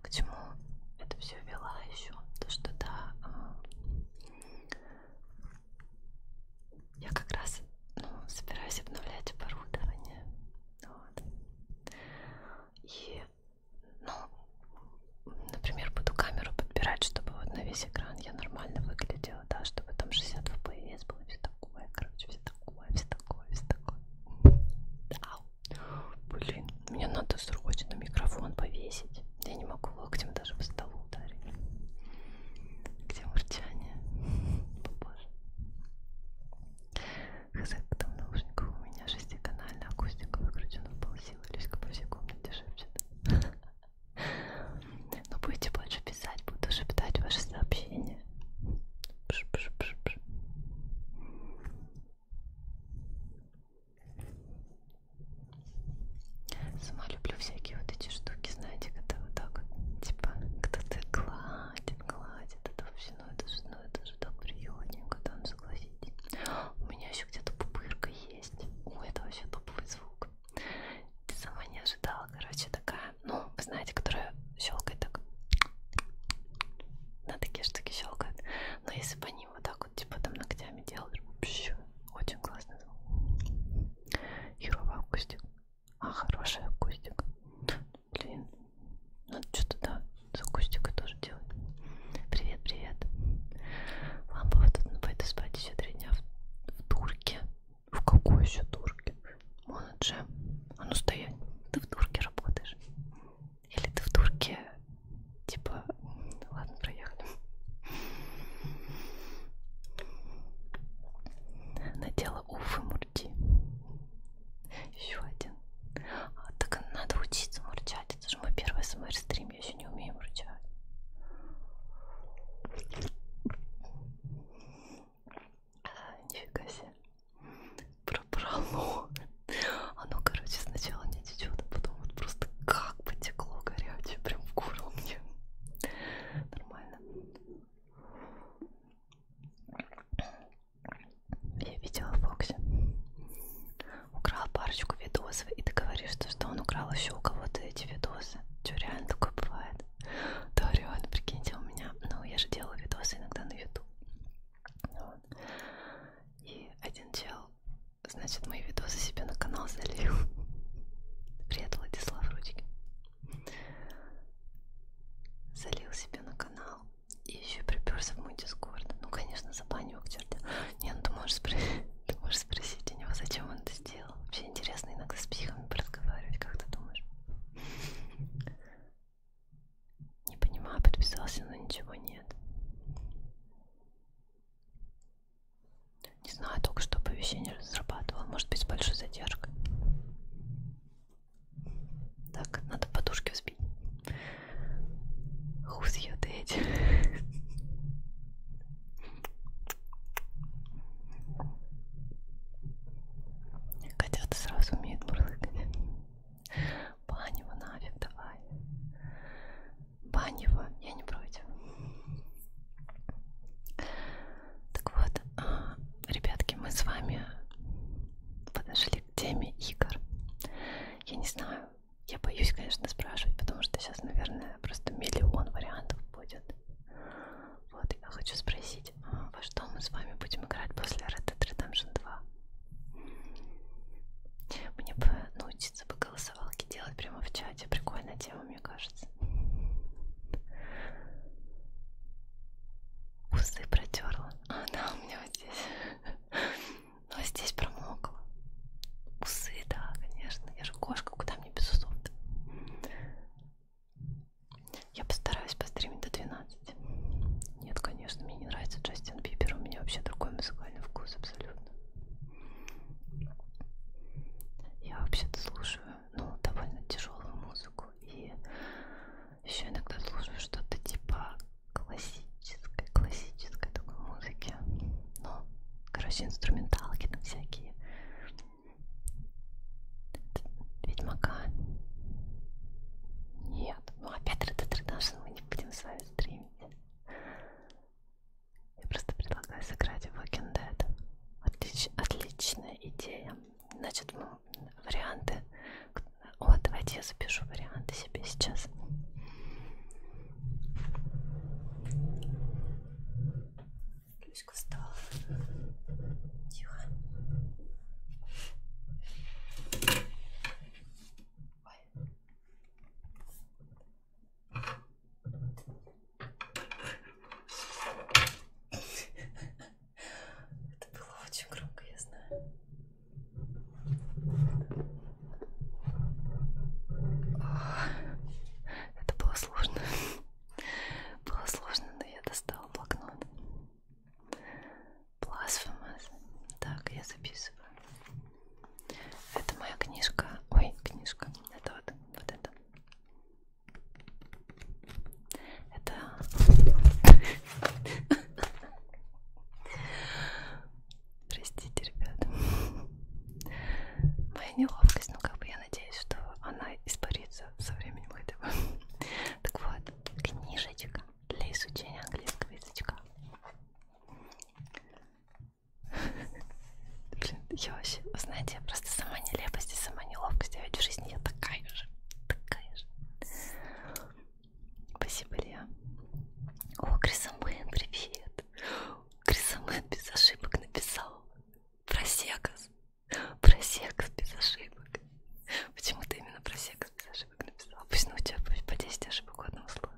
к чему это все вела еще. То, что да, а, я как раз ну, собираюсь обновлять оборудование. Вот. И, ну, например, буду камеру подбирать, чтобы вот на весь экран я нормально выглядела, да, чтобы там 60 FPS было, все такое, короче, все такое, все такое, все такое. Да. Блин, мне надо срочно микрофон повесить. Я не могу локтем даже по столу ударить. Где мурчание? Боже. Хз, потом наушников у меня шестиканальная акустика выкручена в полсилы, Люська по всей комнате шепчет. Но ну, будете больше писать, буду шептать ваши сообщения. Пш -пш -пш -пш. Сама люблю всякие вот эти штуки, знаете, когда вот так вот, типа, кто-то гладит, гладит, это вообще, ну это же, ну это же так приятненько, там, ну, согласитесь. У меня еще где-то пупырка есть. Ой, это вообще топовый звук. Ты сама не ожидала, короче, такая, ну, вы знаете, которая щелкает так. На такие штуки щелкает. Но если по ним вот так как он типа там ногтями делал. Вообще, очень классно. Херовый акустик. А, хороший акустик. Блин, надо что-то, да, с акустикой тоже делать. Привет, привет. Лампа вот тут, ну, пойду спать еще три дня в, в турке. В какой еще турке? Моноджем. А ну стоять. Ты в турке работаешь. Или ты в турке, типа, Ладно, проехали. Надела Уфы Мурти. Еще один. А, так надо учиться мурчать. Это же мой первый смр-стрим. Я еще не умею мурчать. А, нифига себе. Пробрало. Оно, а ну, короче, сначала не течет, а потом вот просто как как потекло горячее прям в горло мне. Нормально. Я видела Фокси. Украл парочку видосов, и ты говоришь, что, что он украл еще у кого-то эти видосы. Че, реально такое бывает? Да, реально, прикиньте, у меня. Ну, я же делаю видосы иногда на YouTube. Вот. И один чел значит, мои видосы себе на канал залью. Привет, Владислав Рудик. Залил себе на канал и еще приперся в мой дискорд. Ну, конечно, забанил к черте. Не, ну ты можешь, спро... ты можешь спросить у него, зачем он это сделал. Вообще интересно иногда с психами разговаривать, как ты думаешь? Не понимаю, подписался, но ничего нет. Не знаю, только что оповещение разрабатывал. Может быть, с большой задержкой. Так, надо подушки взбить. Who's your daddy? Котята сразу умеют мурлыкать. Панева нафиг давай бань его, я не против. Так вот, а, ребятки, мы с вами подошли к теме игр. Я не знаю, я боюсь, конечно, спрашивать, потому что сейчас, наверное, просто миллион вариантов будет. Вот, я хочу спросить, а, во что мы с вами будем играть после Red Dead Redemption 2? Мне бы научиться по голосовалке делать прямо в чате. Прикольная тема, мне кажется. Усы протерла. А, да, у меня вот здесь. Но ну, здесь промокла. Усы, да, конечно. Я же кошка, куда мне без усов -то? Я постараюсь постримить до 12. Нет, конечно, мне не нравится Джастин Бибер. У меня вообще другой музыкальный вкус абсолютно. Я вообще-то слушаю, ну, довольно тяжелую музыку и еще иногда слушаю что-то типа классической, классической такой музыки. Ну, короче, инструменталки там всякие. Ведьмака. Нет. Ну опять Red Dead Redemption мы не будем с вами стримить. Я просто предлагаю сыграть в Walking Dead. Отлич, отличная идея. Значит, ну, варианты... О, давайте я запишу варианты себе сейчас. Ключка встала. Тихо. Ой. Это было очень громко, я знаю. А, это было сложно. Было сложно, но я достала блокнот. Blasphemous. Так, я записываю. Это моя книжка. Ой, книжка. Это вот, вот это. Это... Простите, ребята. Моя неловкость, но ну, как бы я надеюсь, что она испарится со временем хотя бы. Так вот, книжечка для изучения английского язычка. Блин, я вообще, вы знаете, я просто сама нелепость и сама неловкость, а ведь в жизни я такая же, такая же. Спасибо, Илья. О, Крисомен, привет. Крисомен без ошибок написал. Просекас. Просекас без ошибок. Почему ты именно просекас без ошибок написал? Пусть ну, у тебя по 10 ошибок у одного слова.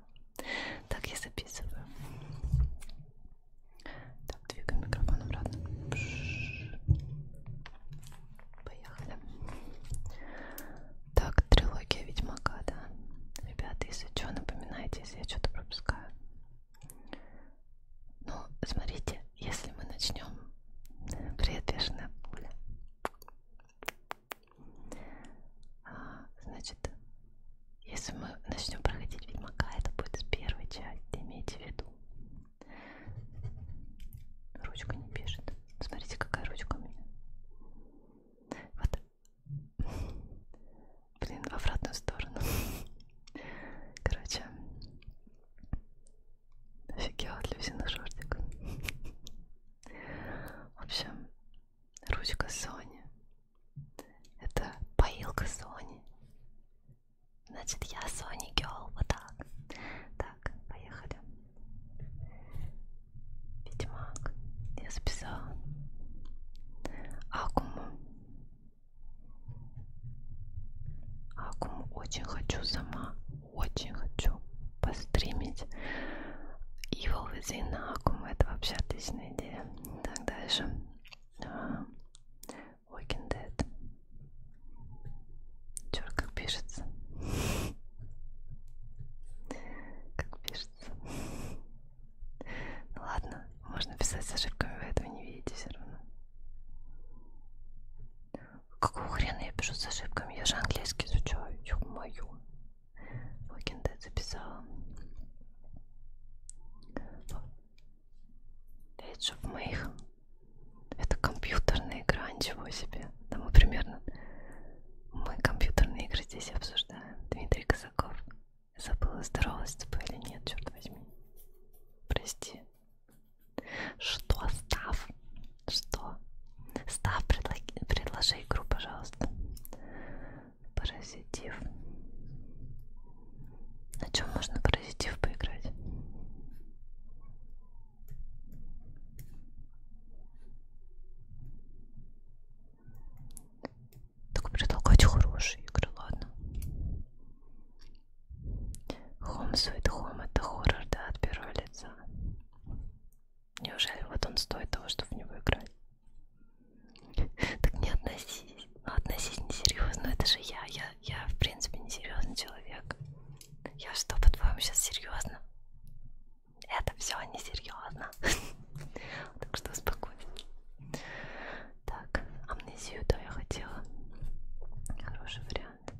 Так я записываю. Так, двигай микрофон обратно. Пш. Поехали. Так, трилогия Ведьмака, да? Ребята, если что, напоминайте, если я что-то пропускаю. Ну, смотрите, если мы начнем... Привет, бешеная пуля. А, значит, если мы начнем проходить Ведьмака, это будет с первой части, имейте в виду. Ручка не пишет. Смотрите, какая ручка у меня. Вот. Блин, в обратную сторону. Короче. Офигела от Люсиных шортик. В общем, ручка Sony это поилка Сони. Значит, я Сони Гелл. Вот так. Так, поехали. Ведьмак. Я записала. Акуму. Акуму очень хочу сама. Очень хочу постримить. Evil Within на Акуму. Это вообще отличная идея. Так, дальше. А -а -а. Walking Dead. Черт, как пишется. Как пишется. Ну ладно, можно писать с ошибками, вы этого не видите все равно. Какого хрена я пишу с ошибками? Я же английский изучаю, ё-моё. Walking Dead записала. 5 чтоб мы их... Это компьютерная игра, ничего себе. Да мы примерно... Мы компьютерные игры здесь обсуждаем. Дмитрий Казаков. Забыла, здоровалась с тобой или нет, черт возьми. Прости. Что, Став? Что? Став, предло... предложи игру, пожалуйста. Паразитив. На чем можно паразитив поиграть? Только предлагать хорошие игры, ладно. Home Sweet Home это хоррор, да, от первого лица. Неужели вот он стоит того, чтобы в него играть? Так не относись. Ну, относись несерьезно. Это же я. Я, я в принципе, несерьезный человек. Я что, по-твоему, сейчас серьезно? Это все несерьезно. Так что успокойся. Так, амнезию, да, я хотела. Хороший вариант.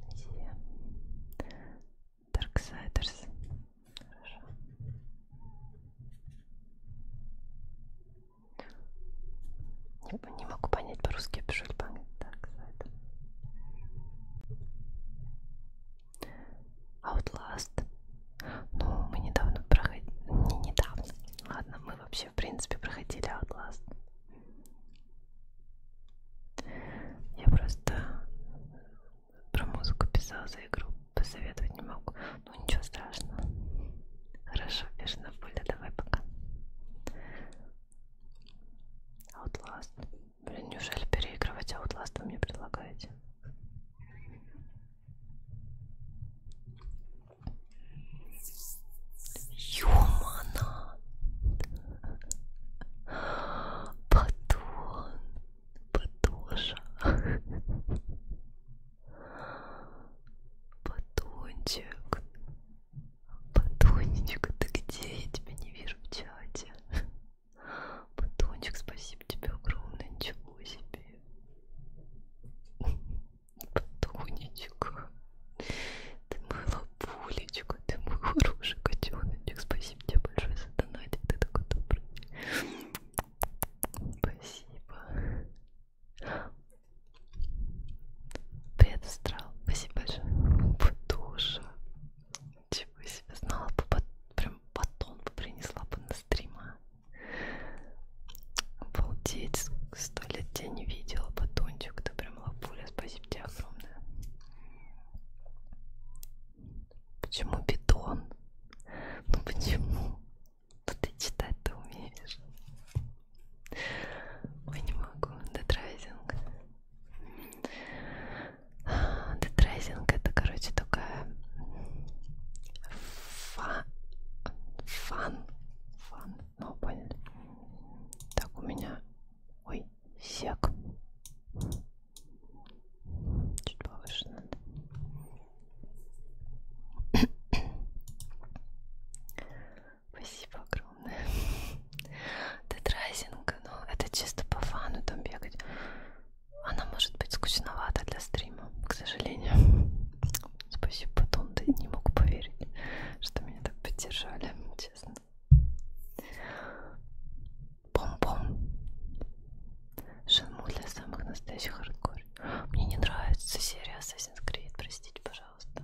Амнезия. Darksiders. Хорошо. Не, не могу понять по-русски, я пишу по-английски. Так, сайт. Outlast. Ну, мы недавно проходили... Не недавно. Ладно, мы вообще, в принципе, проходили Outlast. Я просто про музыку писала за игру посоветовать не могу. Ну ничего страшного. Хорошо, бешеная пуля, давай пока. Outlast. Блин, неужели переигрывать Outlast вы мне предлагаете? Юмана! Батон! Батоша! Батончик. Батончик, ты где? Я тебя не вижу в чате. Батончик, спасибо тебе огромное. Ничего себе. Батонечка. Ты мой лапулечка, ты мой хороший котеночек. Спасибо тебе большое за донатик, ты такой добрый. Спасибо. Привет, Астрал. Спасибо большое. Душа. Чего себе знала бы, под, прям батон бы принесла бы на стрима. Обалдеть, сто лет тебя не видела, батончик. Ты прям лапуля, спасибо тебе огромное. Почему бетон? Ну почему? Но ты читать ты умеешь. Ой, не могу. Детрайзинг. Детрайзинг это, короче, такая фа... фан. Фан. Ну, поняли. Так, у меня... Ой, сек. Чуть повыше надо. Спасибо огромное. Тетрайзинг, но ну, это чисто по фану там бегать. Она может быть скучновата для стрима, к сожалению. Спасибо, Батон, ты не мог поверить, что меня так поддержали, честно. Пом-пом. Шенму для самых настоящих хардкор. Мне не нравится серия Assassin's Creed, простите, пожалуйста.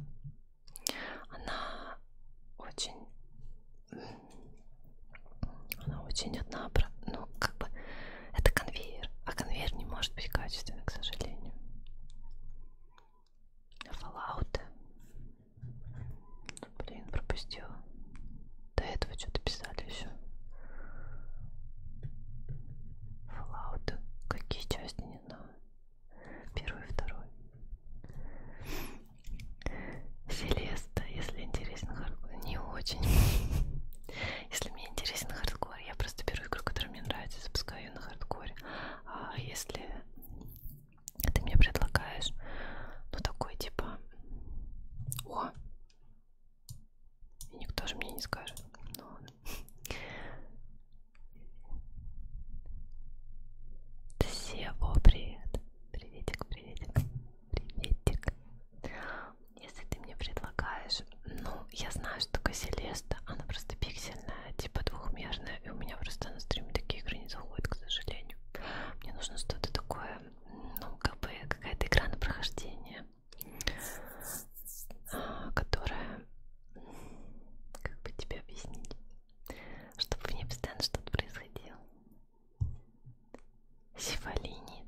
Она очень... Она очень однобра... Ну, как бы... Это конвейер, а конвейер не может быть качественным, к сожалению. Fallout. Блин, пропустила. До этого что-то писали еще. Fallout. Какие части, не знаю. Первый, второй. Селеста, если интересен хардкор. Не очень. Если мне интересен хардкор, я просто беру игру, которая мне нравится, запускаю ее на хардкоре. А если ты мне предлагаешь, ну такой типа... О! Никто же мне не скажет. Ну ладно. Сево, привет. Приветик, приветик. Приветик. Если ты мне предлагаешь... Ну, я знаю, что такое Селеста. Она просто пиксельная, типа двухмерная. И у меня просто на стриме такие игры не заходят, к сожалению. Мне нужно что-то такое, ну, как бы какая-то игра на прохождение которая, как бы тебе объяснить, чтобы в ней постоянно что-то происходило. Сифалини.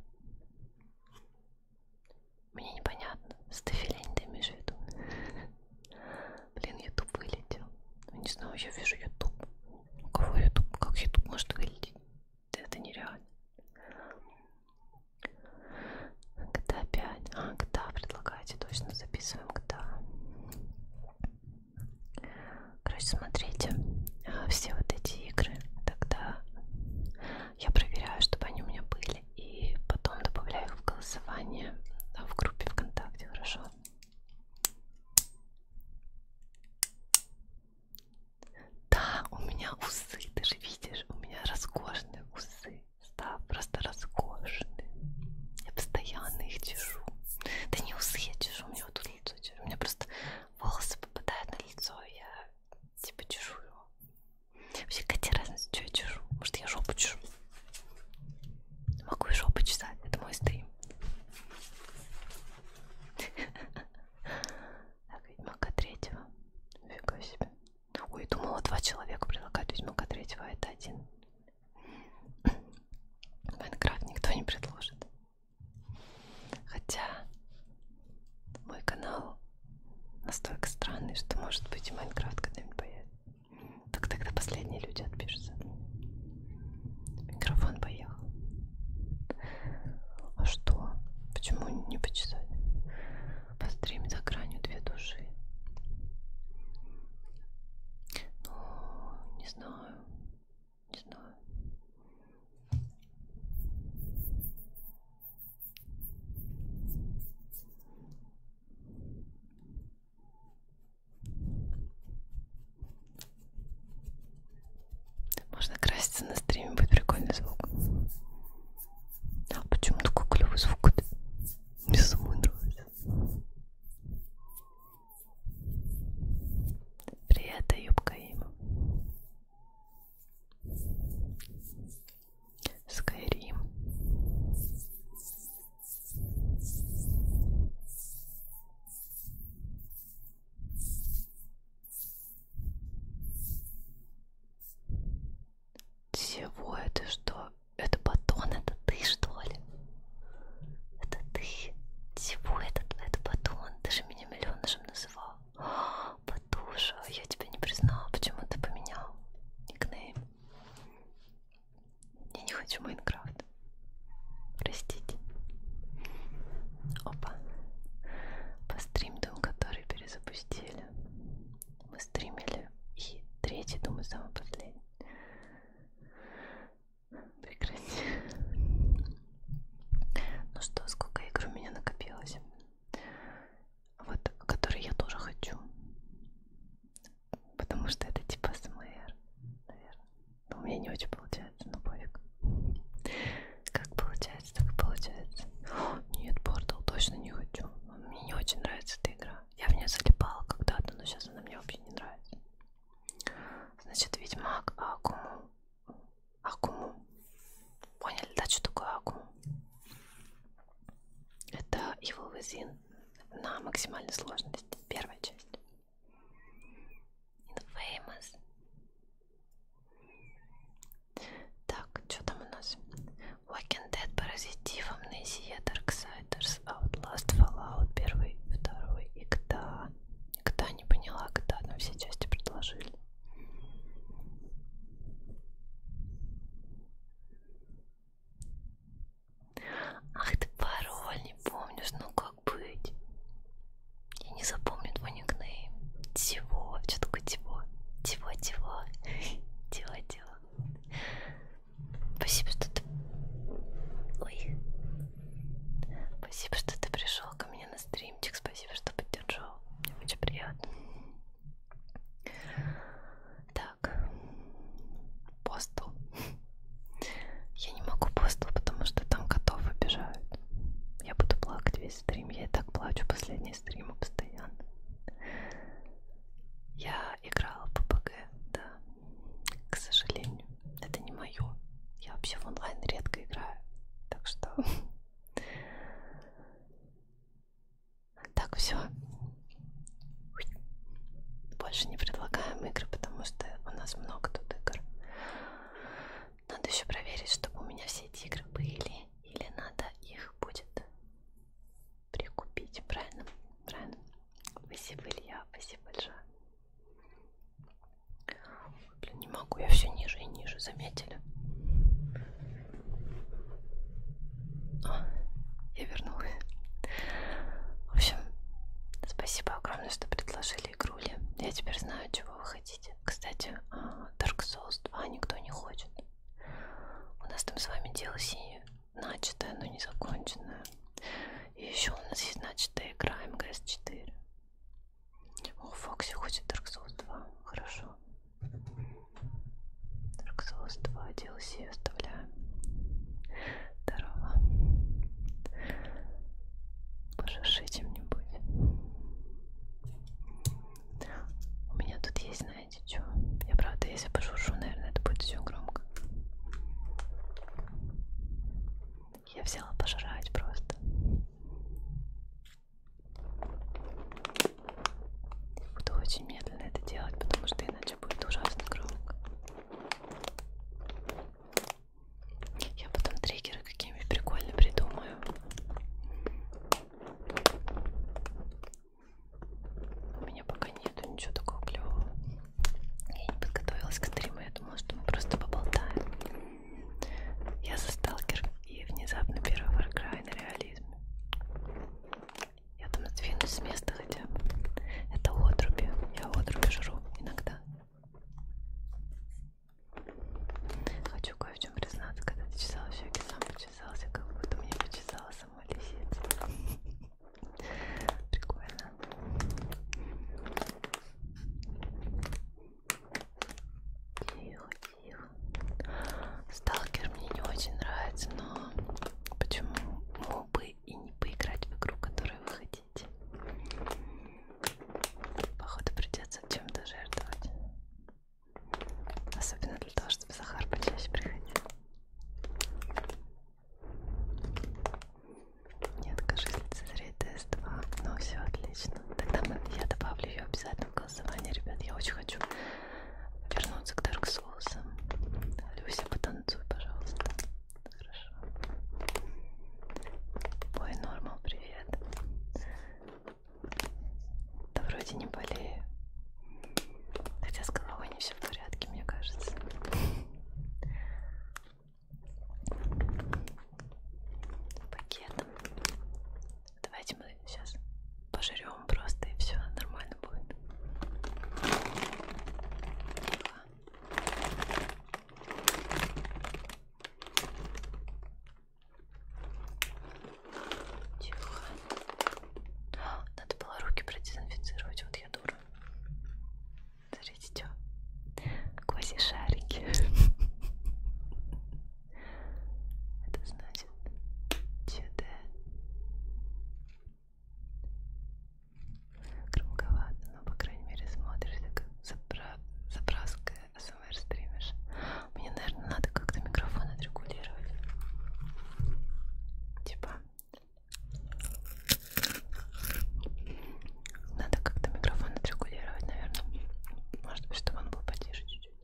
Мне непонятно, стафилини ты имеешь в виду? Блин, ютуб вылетел. Не знаю, я вижу ютуб. У кого ютуб? Как ютуб может вылететь? Это нереально. Когда 5. А, когда предлагаете, точно записываем когда. Короче, смотрите, а, все вот эти игры, тогда я проверяю, чтобы они у меня были, и потом добавляю их в голосование а, в группе ВКонтакте, хорошо? Да, у меня усы, ты же видишь, у меня роскошные усы став просто роскошным. Я постоянно их чешу. Да не усы я чешу, у меня вот тут лицо чешу. У меня просто волосы попадают на лицо, я типа чешу его. Вообще, какая разница, что я чешу? Может, я жопу чешу? Могу и жопу чесать, это мой стрим. Так, ведьмака третьего. Фига себе. Ой, думала, два человека предлагают Ведьмака третьего, а это один. Майнкрафт никто не предложит. Хотя мой канал настолько странный, что может быть и Майнкрафт когда-нибудь появится. Так тогда последние люди отпишутся. Микрофон поехал. А что? Почему не почитать? Пострим за гранью две души. Ну, не знаю. Не знаю. Можно краситься на стриме, будет прикольный звук. А почему такой клевый звук? -то? Мне самой нравится. Привет, юбка им. Скайрим. Всего это что? Это батон, это ты что ли? Это ты? Всего это, это батон? Ты же меня миллионышем называл. Батуша, я тебя не признала. Почему ты поменял никнейм? Я не хочу Майнкрафт. Простите. Опа. По стримдам, который перезапустили мы стримили. И третий, думаю, самый последний. Прекрати. Ну что, сколько игр у меня накопилось? Вот, которые я тоже хочу. Потому что это типа СМР, наверное. Но у меня не очень получается, но ну пофиг. Как получается, так получается. О, нет, портал точно не хочу. Мне очень нравится эта игра. Я в нее залипала когда-то, но сейчас она мне вообще не нравится. Значит, ведьмак Акуму. Акуму. Поняли, да, что такое Акуму? Это Evil Within на максимальной сложности. Первая часть. Infamous. Так, что там у нас? Walking Dead, Паразитив, Amnesia, Darksiders, Outlast, Fallout, первый, второй и когда? Когда не поняла, когда нам все части предложили. Ах ты пароль, не помнишь, ну как быть? Я не запомню твой никнейм. Чего? Что такое чего? Чего-чего? Чего-чего? Спасибо, что ты... Ой. Спасибо, что ты пришел ко мне на стримчик. Спасибо, что поддержал. Мне очень приятно. Так. Посту. Я не могу посту, потому что там котов обижают. Я буду плакать весь стрим. Я и так плачу последний стрим постоянно. Я играла в ППГ, да. К сожалению, это не мое. Я вообще в онлайн редко играю. Так что... Так, все. Больше не предлагаем игры, потому что у нас много тут игр. Надо еще проверить, чтобы у меня все эти игры были. Или надо их будет прикупить, правильно? Правильно? Спасибо, Илья, спасибо большое. Блин, не могу, я все ниже и ниже, заметили? О, я вернулась. В общем, спасибо огромное, что предложили игрули. Я теперь знаю, чего вы хотите. Кстати, а, Dark Souls 2 никто не хочет. У нас там с вами DLC начатое, но не законченное. И еще у нас есть начатая игра МГС-4. О, Фокси хочет Dark Souls 2. Хорошо. Dark Souls 2 DLC оставляем. Здорово. Пожиши чем-нибудь. У меня тут есть на знаете что? Я правда, если пошуршу, наверное, это будет все громко. Я взяла пожрать просто. Буду очень медленно это делать, потому что иначе будет ужасно громко. Я потом триггеры какие-нибудь прикольно придумаю. У меня пока нету ничего такого клевого. Я не подготовилась к стриму, я думала, что мы просто поболтаем. Я за сталкер и внезапно первый Warcry на реализме. Я там сдвинусь с места хотя бы. Это отруби. Я отруби жру иногда. Хочу кое в чем признаться, когда ты чесала щеки, сам почесался, как будто мне почесалась сама лисица. Прикольно. Тихо, тихо. Сталкер мне не очень нравится, но почему мог бы и не поиграть в игру, которую вы хотите? Походу придется чем-то жертвовать. Особенно для того, чтобы Захар почаще приходил. Не откажусь лицезреть ТС-2. Ну все, отлично. Тогда мы, я добавлю ее обязательно в голосование, ребят. Я очень хочу вернуться к Dark Souls. Люся, потанцуй, пожалуйста. Хорошо. Ой, Нормал, привет. Да вроде не болею. Хотя с головой не все в порядке, мне кажется. Пакет. Давайте мы сейчас пожрем просто и все нормально будет. Тихо. Надо было руки продезинфицировать. Вот я дура. Смотрите, что. Квази шарики. Это значит ЧД. Громковато, но по крайней мере смотришься как запра... запраска а СМР стримишь. Мне, наверное, надо как-то микрофон отрегулировать. Типа надо как-то микрофон отрегулировать, наверное. Может быть, чтобы он был потише чуть-чуть.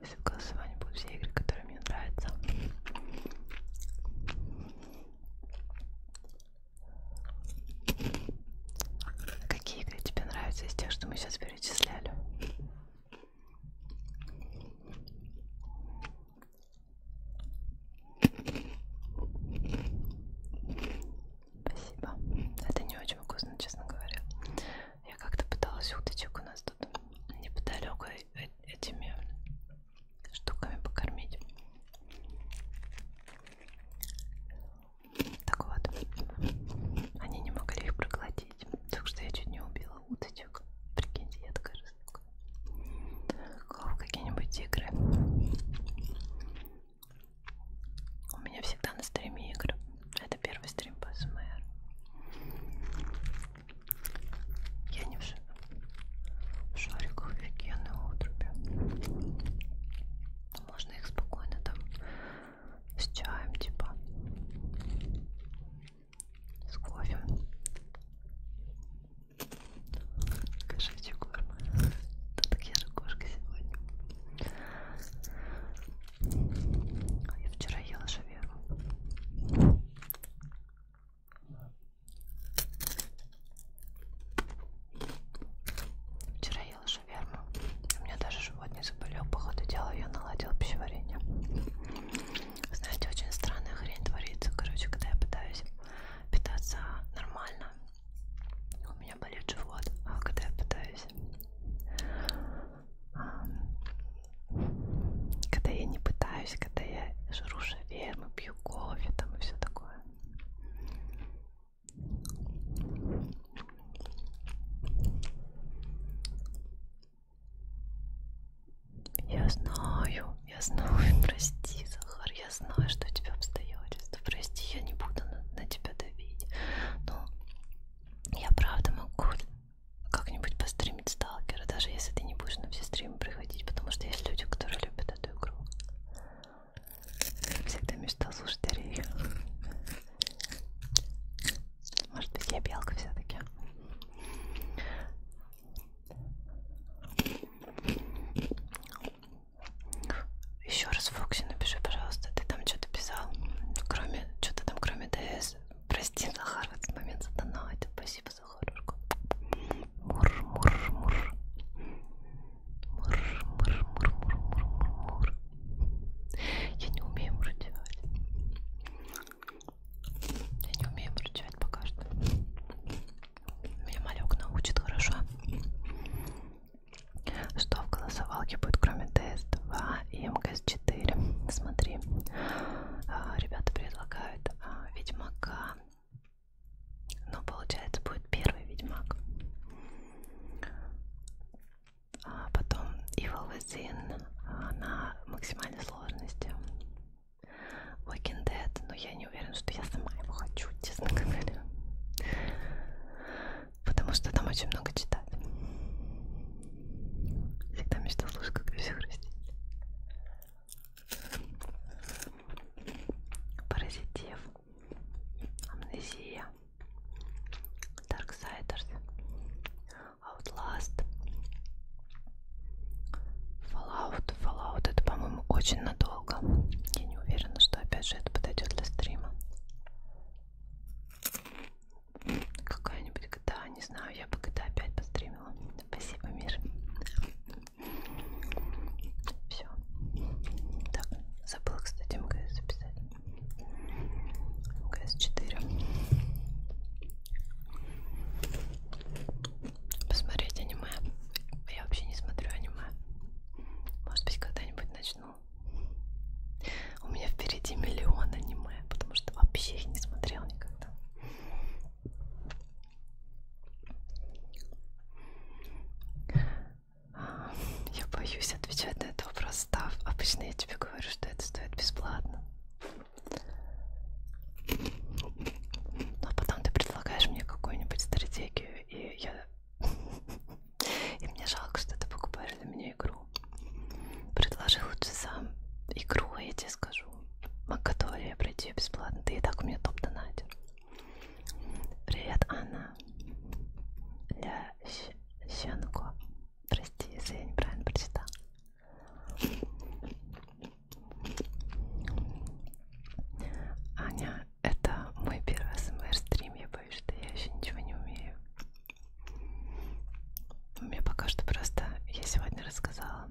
Если в голосовании будут все игры, которые мне нравятся. Какие игры тебе нравятся из тех, что мы сейчас перечисляли? Спасибо. Это не очень вкусно, честно говоря. Я как-то пыталась уточек у нас тут неподалеку э, э, этими штуками покормить. Так вот, они не могли их проглотить улететь. Так что я чуть не убила уточек. Прикиньте, я такая жестокая. Какие-нибудь игры. У меня всегда на стриме игры. Это первый стрим по СМР. Я не в, ш... в шариках офигенные отруби. Можно их спокойно там с чаем, типа, с кофе. Кошачий корм. Так я же кошка сегодня. А я вчера ела шаверму. Вчера ела шаверму. У меня даже живот не заболел, по ходу дела я наладил пищеварение. Знаете, очень странная хрень творится, короче, когда я пытаюсь питаться нормально, у меня болит живот, а когда я пытаюсь, когда я не пытаюсь, когда я жру шаверму, пью кофе там и все такое. Я знаю, я знаю, прости, Захар, я знаю, что у тебя обстоятельства. Прости, я не буду на, на тебя давить. Но я правда могу как-нибудь постримить сталкера, даже если ты не будешь на все стримы приходить, потому что есть люди, которые любят эту игру. Всегда мечтал слушать Арею. Может быть, я белка все-таки. Еще раз, Фокси, напиши, пожалуйста, ты там что-то писал. Кроме, что-то там, кроме ДС. Прости, Захар, в этот момент задонатил. Спасибо, Захарушка. Мур, мур, мур. Мур, мур, мур, мур, мур, мур. Я не умею мурчевать. Я не умею мурчевать пока что. Меня малек научит хорошо. Что в голосовалке будет, кроме ТС-2 и МКС-4? Смотри, а, ребята предлагают а, Ведьмака. Но получается будет первый Ведьмак а потом Evil Within а, на максимальной сложности. Walking Dead, но я не уверена, что я сама его хочу, честно говоря. Потому что там очень много читать. Всегда мечтал слушать, как все хрустит. Паразитив, Амнезия, Darksiders, Outlast. Fallout. Fallout это, по-моему, очень надолго. Я не уверена, что опять же это подойдет для стрима. Какая-нибудь GTA, не знаю, я бы GTA опять постримила. Спасибо, Мир. Все. Так, забыла, кстати, МГС записать. КС4 Посмотреть аниме Я вообще не смотрю аниме Может быть когда-нибудь начну У меня впереди миллион аниме Потому что вообще их не смотрела никогда я боюсь отвечать на этот вопрос, став. Обычно я тебе говорю, что это стоит бесплатно. Но ну, а потом ты предлагаешь мне какую-нибудь стратегию, и я... И мне жалко, что ты покупаешь для меня игру. Предложи лучше сам игру, а я тебе скажу. Макатория, пройти ее бесплатно. Ты и так у меня топ-донатер. Привет, Анна. Ля Щенко. Прости, если я неправильно прочитала. Аня, это мой первый СМР-стрим, я боюсь, что я еще ничего не умею. У меня пока что просто... Я сегодня рассказала,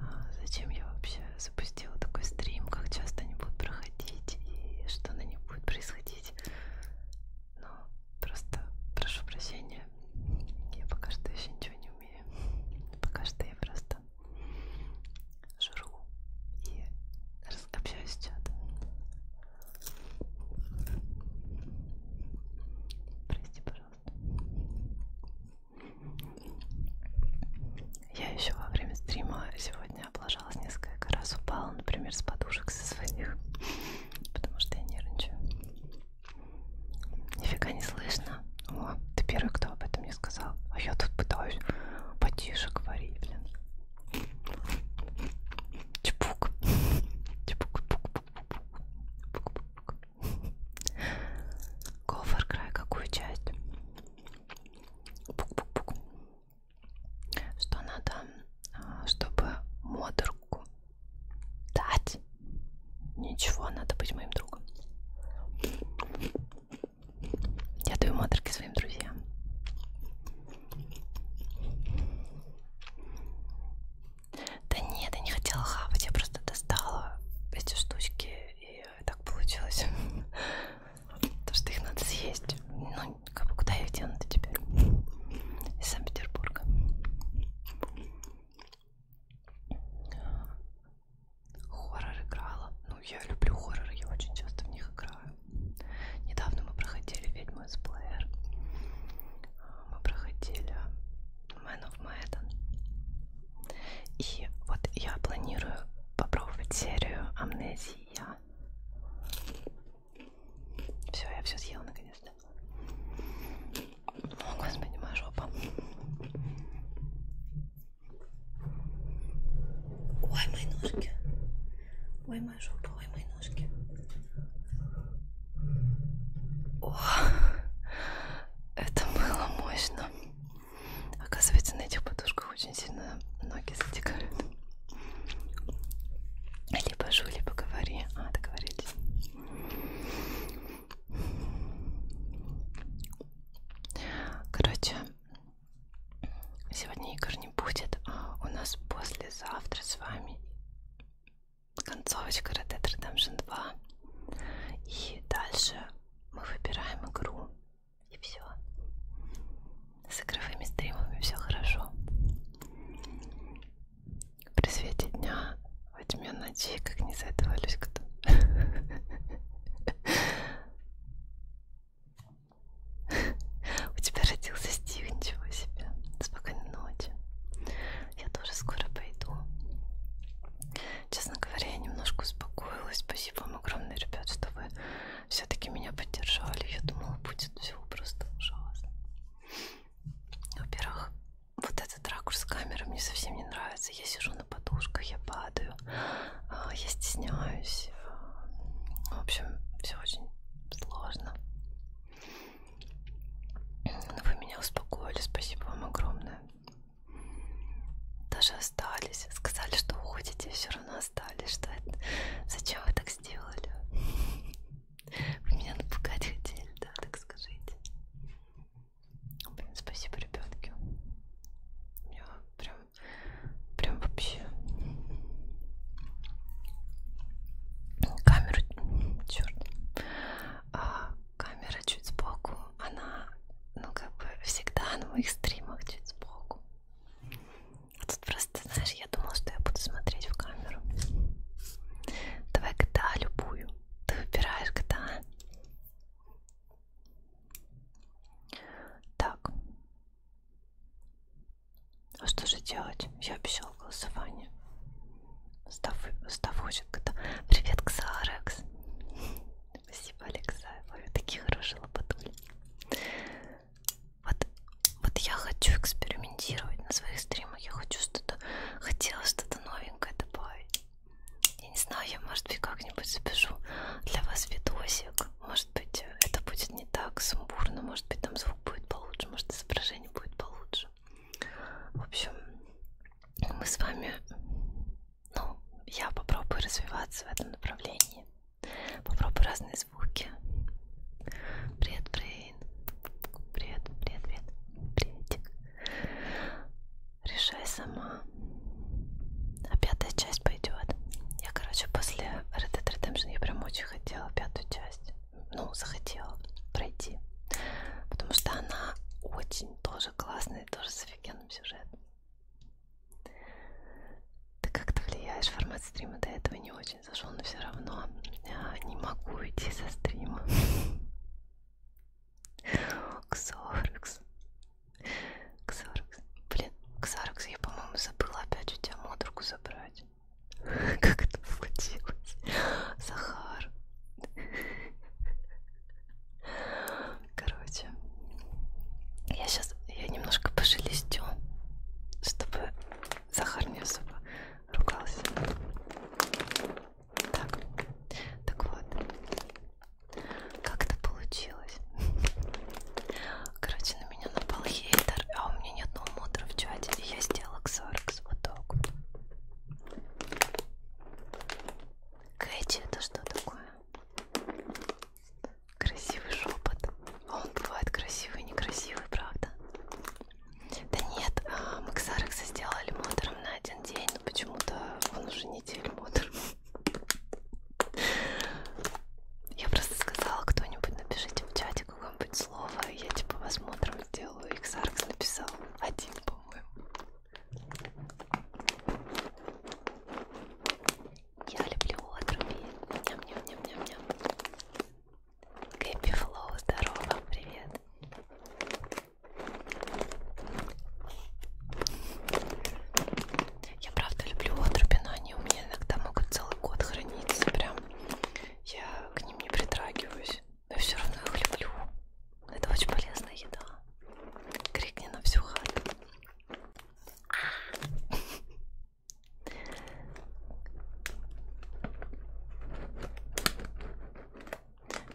а, зачем я вообще запустила такой стрим, как часто они будут проходить и что на них будет происходить но ну, просто прошу прощения, я пока что еще ничего не умею. Пока что я просто жру и общаюсь с чатом. Прости, пожалуйста. Я еще во время стрима сегодня облажалась несколько раз, упала, например, с подушек со своих потому что я нервничаю. Нифига не слышно. О, ты первый, кто об этом мне сказал. А я тут пытаюсь потише говорить, блин. Чепук. Чепук. Кофер край, какую часть? Пук-пук-пук. Что надо, а, чтобы модерку Дать? Ничего, надо быть моим другом. Я даю моторки своим друзьям. Да нет, я не хотела хавать, я просто достала эти штучки, и так получилось. То, что их надо съесть. Ну, куда я их дену-то теперь? Из Санкт-Петербурга. Хоррор играла. Ну, я люблю хорроры, я очень часто в них играю. Недавно мы проходили «Ведьму из Блэр». А, мы проходили «Man of Madden». И вот я планирую попробовать серию «Амнезия». Все, я все съела наконец-то. О, господи, моя жопа. Ой, мои ножки. Ой, моя жопа, ой, мои ножки. О, это было мощно. Оказывается, на этих подушках очень сильно ноги затекают. Либо жу, либо говори. А, договорились. Короче, сегодня игр не будет, а у нас послезавтра с вами концовочка Red Dead Redemption 2. И дальше мы выбираем игру. И все. С игровыми стримами все хорошо. При свете дня, во тьме ночи, как не за этого Люська-то. У тебя родился Стив, ничего себе. Спокойной ночи. Я тоже скоро пойду. Честно говоря, я немножко успокоилась. Спасибо вам огромное, ребят, что вы все-таки меня поддержали. Я думала, будет все просто ужасно. Во-первых, вот этот ракурс камеры мне совсем не нравится. Я сижу на подушках, я падаю, а, я стесняюсь. В общем, все очень сложно. Но ну, вы меня успокоили, спасибо вам огромное. Даже остались, сказали, что уходите, все равно остались. Что это? Зачем вы так сделали? Вы меня напугать хотели, да, так скажите. Блин, спасибо, ребятки. Я прям, прям вообще камеру, черт, а, камера чуть сбоку, она, ну как бы всегда на моих стримах чуть сбоку. А тут просто, знаешь, я думала, что я буду смотреть в камеру. Давай GTA любую. Ты выбираешь GTA. Так. А что же делать? Я обещал голосование. Став, Став хочет GTA. Привет, Ксарекс. Спасибо, Алекса. Вы такие хорошие лопатули. Вот, вот я хочу экспериментировать на своих стримах тему. Я хочу что-то, хотела что-то новенькое добавить. Я не знаю, я, может быть, как-нибудь запишу для вас видосик. Может быть, это будет не так сумбурно, может быть, там звук будет получше, может, изображение будет получше. В общем, мы с вами, ну, я попробую развиваться в этом направлении. Попробую разные звуки. Привет, привет. Блин. Привет, привет, привет. Приветик. Решай сама. А пятая часть пойдет. Я, короче, после Red Dead Redemption я прям очень хотела пятую часть. Ну, захотела пройти. Потому что она очень тоже классная, тоже с офигенным сюжетом. Ты как-то влияешь, формат стрима до этого не очень зашел, но все равно не могу идти со стрима. Ксоркс. Ксоркс. Блин, Ксоркс, я, по-моему, забыла опять у тебя модруку забрать. Как это получилось? Захар. Короче, я сейчас я немножко пошелестю, чтобы Захар не особо ругался. Так, так вот, как это получилось? Короче, на меня напал хейтер, а у меня ни одного модера в чате, и я сделала ксоркс вот так вот. Кэти, это что такое? Красивый шепот. А он бывает красивый и некрасивый, правда? Да нет, мы Ксарекса сделали модером на один день, но почему-то он уже неделю модер. Я просто сказала, кто-нибудь напишите в чате какое-нибудь слово, я типа вас модером сделаю, и Ксарекс написал один, по-моему. Я люблю отруби. Ням-ням-ням-ням-ням. Гэппи Флоу, здорово, привет. Я правда люблю отруби, но они у меня иногда могут целый год храниться, прям. Я к ним не притрагиваюсь, но все равно их люблю. Это очень полезная еда. Крикни на всю хату.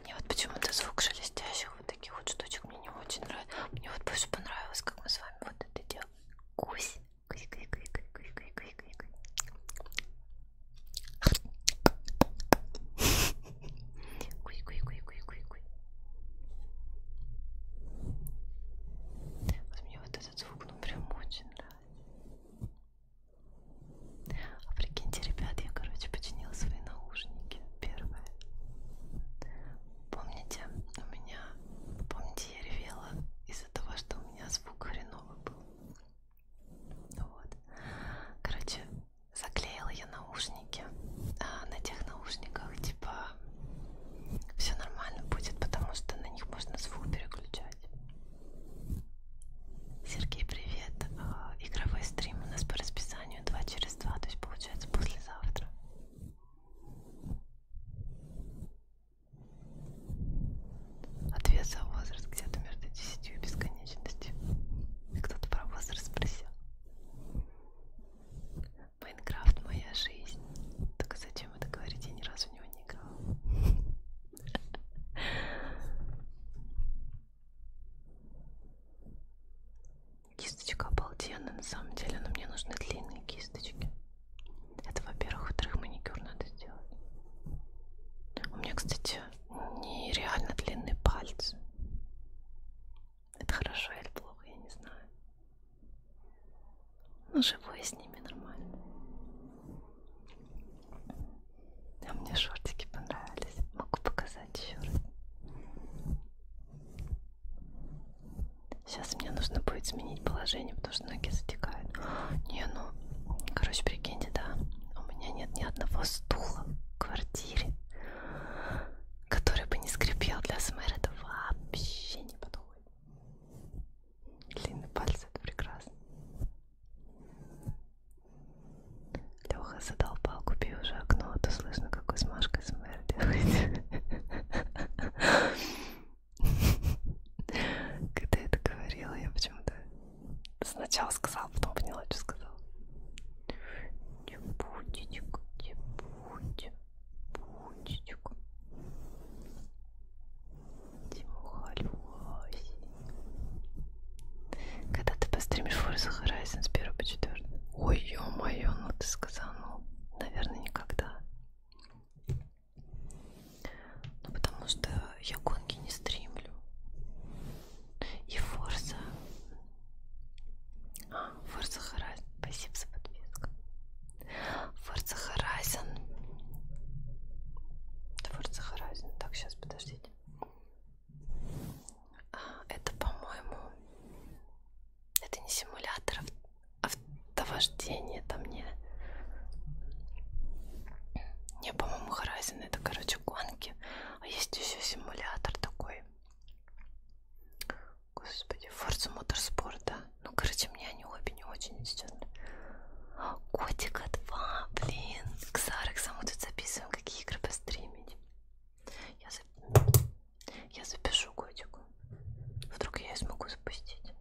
Мне вот почему-то звук шелестящих вот таких вот штучек мне не очень нравится. Мне вот больше понравилось, как мы с вами вот это делаем. Кусь. Кусь, кусь, кусь, кусь, кусь, кусь, кусь, кусь, кусь, кусь, кусь, кусь, кусь, кусь. Вот мне вот этот звук, ну прям очень нравится. А прикиньте, ребят, я, короче, починила свои наушники. Первое. Помните, у меня... Помните, я ревела из-за того, что у меня звук хреновый был. Вот. Короче, заклеила я наушники. А на тех наушниках, типа, все нормально будет, потому что на них можно звук переключать. Сергей, привет. А, игровой стрим у нас по расписанию 2 через 2, то есть получается послезавтра. Ответ за возраст где-то между 10 и бесконечностью. Кто-то про возраст спросил. Майнкрафт моя жизнь. Только зачем это говорить? Я ни разу в него не играла. Кисточка обалденная, на самом деле, но мне нужны длинные кисточки. Это, во-первых, во-вторых, маникюр надо сделать. У меня, кстати, нереально длинные пальцы. Это хорошо или плохо, я не знаю. Ну, живой с ними нормально. А мне шортики понравились. Могу показать еще раз. Сейчас мне нужно будет сменить положение, потому что ноги затекают. Не, ну, короче, прикиньте, да, у меня нет ни одного стула в квартире, который бы не скрипел для СМР. Эм это вообще не подходит. Длинные пальцы, это прекрасно. Леха задолбал, купи уже окно, а то слышно, как с Машкой СМР делаете. Когда это говорила, я почему-то сначала сказала, потом поняла, что сказала. Не будете, не будете, будете. Тимуха, Лёсенька. Когда ты постримишь Forza Horizon с 1 по 4? Ой, ё-моё, ну ты сказал, ну, наверное, никогда. Ну, потому что я гонки не стримлю. И Forza... А, Forza Horizon. Спасибо за подписку. Forza Horizon. Forza Horizon. Так, сейчас, подождите. Это, по-моему, это не симулятор автовождения, а там не... Не, по-моему, Horizon это, короче, гонки. А есть еще симулятор такой. Господи, Forza Motorsport, да? Ну, короче, мне они обе не очень идут. Котика 2, блин. Ксарик сам будет записывать записываем, какие игры постримить. Я, зап... я запишу котику. Вдруг я ее смогу запустить.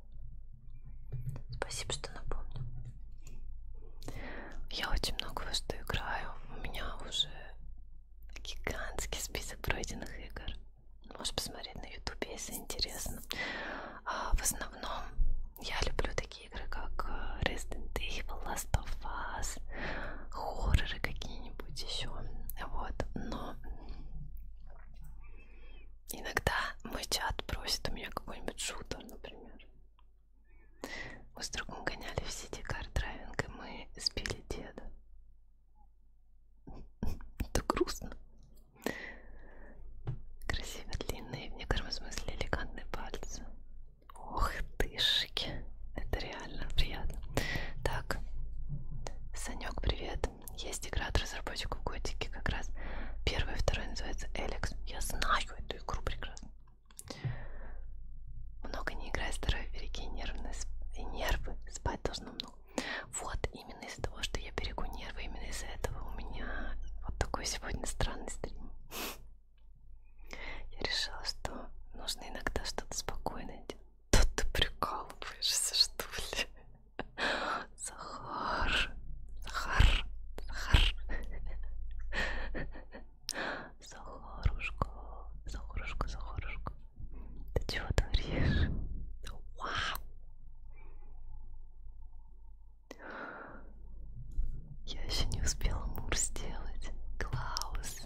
Спасибо, что напомнил. Я очень много во что играю. У меня уже гигантский список пройденных игр. Можешь посмотреть на ютубе, если интересно. А в основном я люблю такие такие игры, как э, Resident Evil, Last of Us, хорроры какие-нибудь еще. Вот, но иногда мой чат просит у меня какой-нибудь шутер, например. Мы с другом гоняли в сети карт-драйвинг, и мы сбили деда. Это грустно. Красиво длинные, в некотором смысле элегантные пальцы. Ох ты шики. Это реально приятно. Так. Санек, привет. Есть игра от разработчиков Готики как раз. Первый, второй называется Эликс. Я знаю эту игру прекрасно. Много не играй, здоровье береги нервные и нервы. Спать должно много. Вот, именно из-за того, что я берегу нервы, именно из-за этого у меня вот такой сегодня странный стрим. Я решила, что нужно иногда что-то спокойное делать. Да ты прикалываешься, что ли? Захар, Захар, Захар. Захарушка, Захарушка, Захарушка. Ты чего творишь? Вау! Я еще не успела мур сделать. Клаус.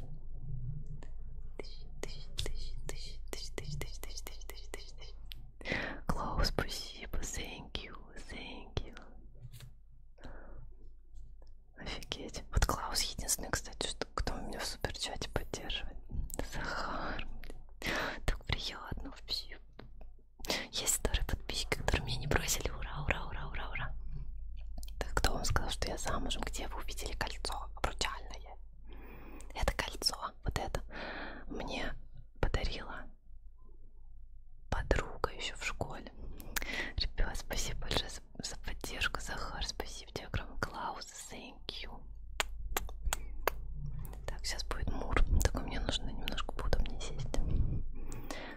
Клаус, спасибо. Thank you. Thank you. Офигеть. Вот Клаус единственный, кстати, что, кто меня в суперчате поддерживает. Захар. Так приятно вообще. Есть старый подписчики, которые меня не бросили. Ура, ура, ура, ура, ура. Так, кто вам сказал, что я замужем? Где вы увидели кольцо обручальное? Это кольцо, вот это. Мне подарила подруга еще в школе. Ребят, спасибо большое за, за поддержку, Захар. Спасибо тебе огромное, Клаус. Thank you. Так, сейчас будет мур. Так, мне нужно немножко поудобнее сесть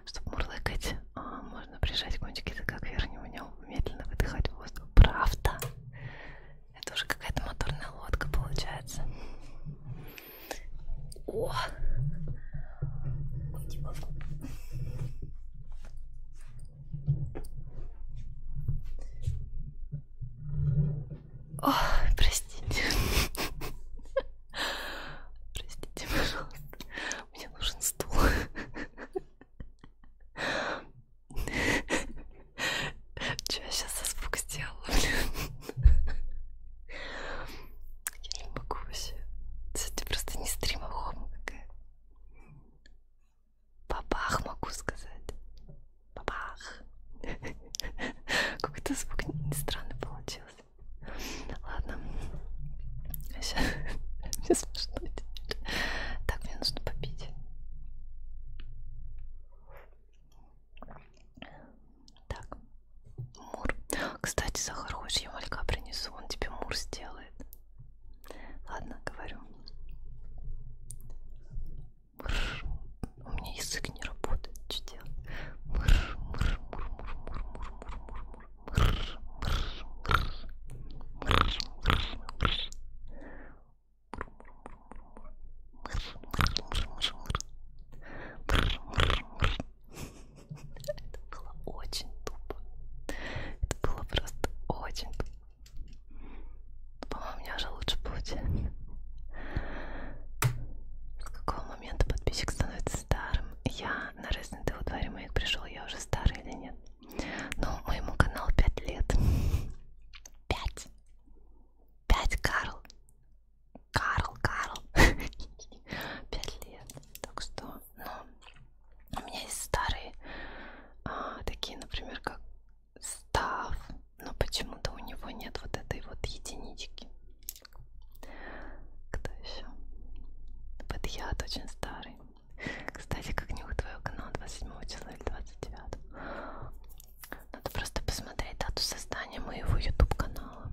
чтобы мурлыкать, а, можно прижать кончики языка к верхнему нему, медленно выдыхать воздух. Правда? Это уже какая-то моторная лодка получается. О! Уйди, О, простите. Простите, пожалуйста. Мне нужен стул. Че я сейчас за звук сделала, блин? Я не могу вообще. Ты просто не стрима хома какая. Бабах могу сказать. Бабах. Какой-то звук странный получился. Ладно. Сейчас. Мне смешно теперь. Так, мне нужно попить. Так. Мур. Кстати, Сахар, хочешь, я малька принесу? Он тебе мур сделает. Ладно, говорю. Мур. У меня язык не работает. Что делать? Мур, мур, мур, мур, мур, мур, мур, мур, мур. Это было очень тупо. Это было просто очень тупо. По-моему, у меня уже лучше получается. С какого момента подписчик становится старым? я на Resident Evil 2 ремейк пришел, я уже старый или нет? Но моему каналу 5 лет. 5. 5, Карл. Карл, Карл. 5 лет. Так что, ну, у меня есть старые, а, такие, например, как Став, но почему-то у него нет вот этой вот единички. Кто еще? Подъят очень старый. Кстати, как нюх твоего канала 27 числа или 29. Надо просто посмотреть дату создания моего YouTube канала.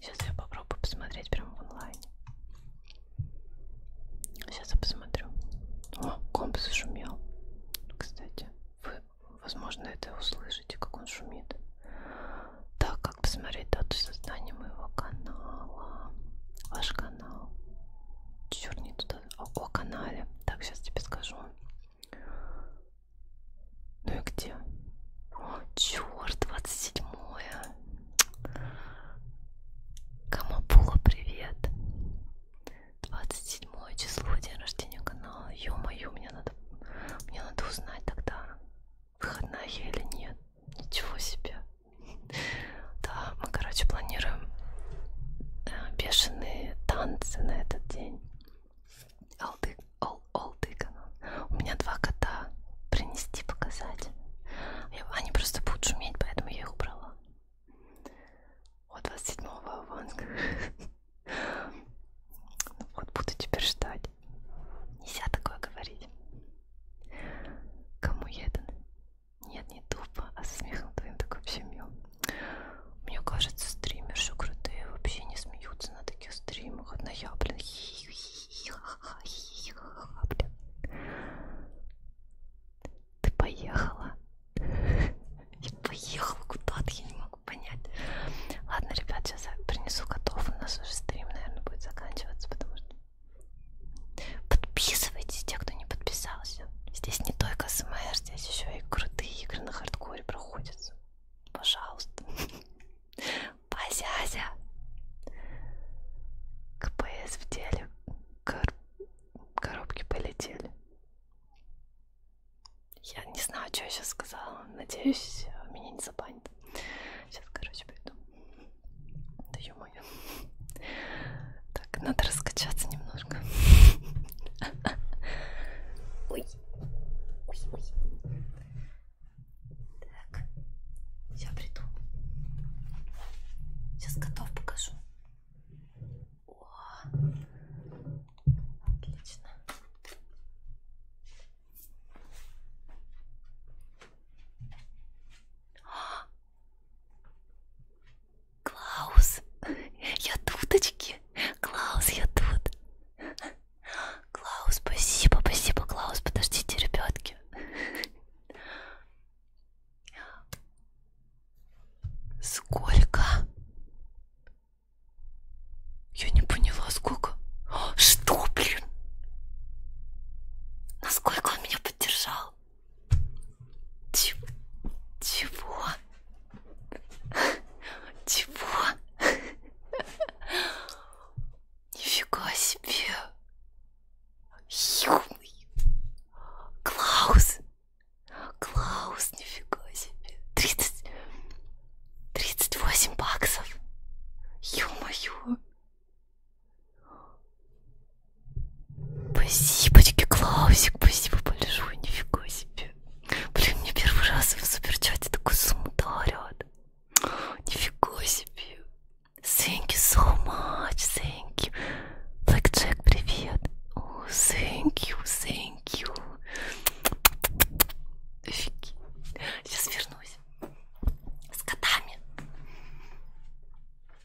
Сейчас я попробую посмотреть прямо в онлайне. Сейчас я посмотрю. О, комп зашумел. Кстати, вы, возможно, это услышите, как он шумит. Так, как посмотреть дату создания моего канала? Ваш канал. Черт, не туда. О, о канале. Так, сейчас тебе скажу. Ну и где? О, черт, 27 Камапула, привет. 27 число, день рождения канала. Ё-моё, мне надо, мне надо узнать тогда выходная или нет. Ничего себе. Да, мы, короче, планируем э, бешеные танцы на этот день. Олды, ол, олды У меня два кота. Принести, показать. Они просто будут шуметь, поэтому я их убрала. Вот 27-го аванска. Ну вот буду теперь ждать. Нельзя такое говорить. Кому едан? Нет, не тупо, а со смехом твоим так вообще мил. Мне кажется, стримерши крутые вообще не смеются на таких стримах. Одна я, блин, блин. Ты поехала? Я поехала куда-то, я не могу понять. Ладно, ребят, сейчас я принесу котов. У нас уже стрим, наверное, будет заканчиваться, потому что Подписывайтесь, те, кто не подписался. Здесь не только СМР, здесь еще и крутые игры на хардкоре проходятся. Пожалуйста. Позязя. КПС в деле. Кор... Коробки полетели. Я не знаю, что я сейчас сказала. Надеюсь, меня не забанят. Сейчас, короче, пойду. Да ё-моё. Так, надо раскачаться немножко. Ой. Ой, ой. Так. Я приду. Сейчас готов покажу. О, отлично. Клаус, я туточки. Клаус, я тут. Клаус, спасибо, спасибо, Клаус, подождите, ребятки. Сколько? Я не поняла, сколько. Что, блин? Насколько он меня поддержал. Ч чего? Чего? Нифига себе. Юный. Клаус. Клаус, нифига себе. 30... 38 баксов. Ё-моё. Спасибочки, Клаусик, спасибо большое, нифига себе. Блин, мне первый раз в суперчате такую сумму дарят. Нифига себе. Thank you so much, thank you. Blackjack, привет. Oh, thank you, thank you. Офигеть. Сейчас вернусь. С котами.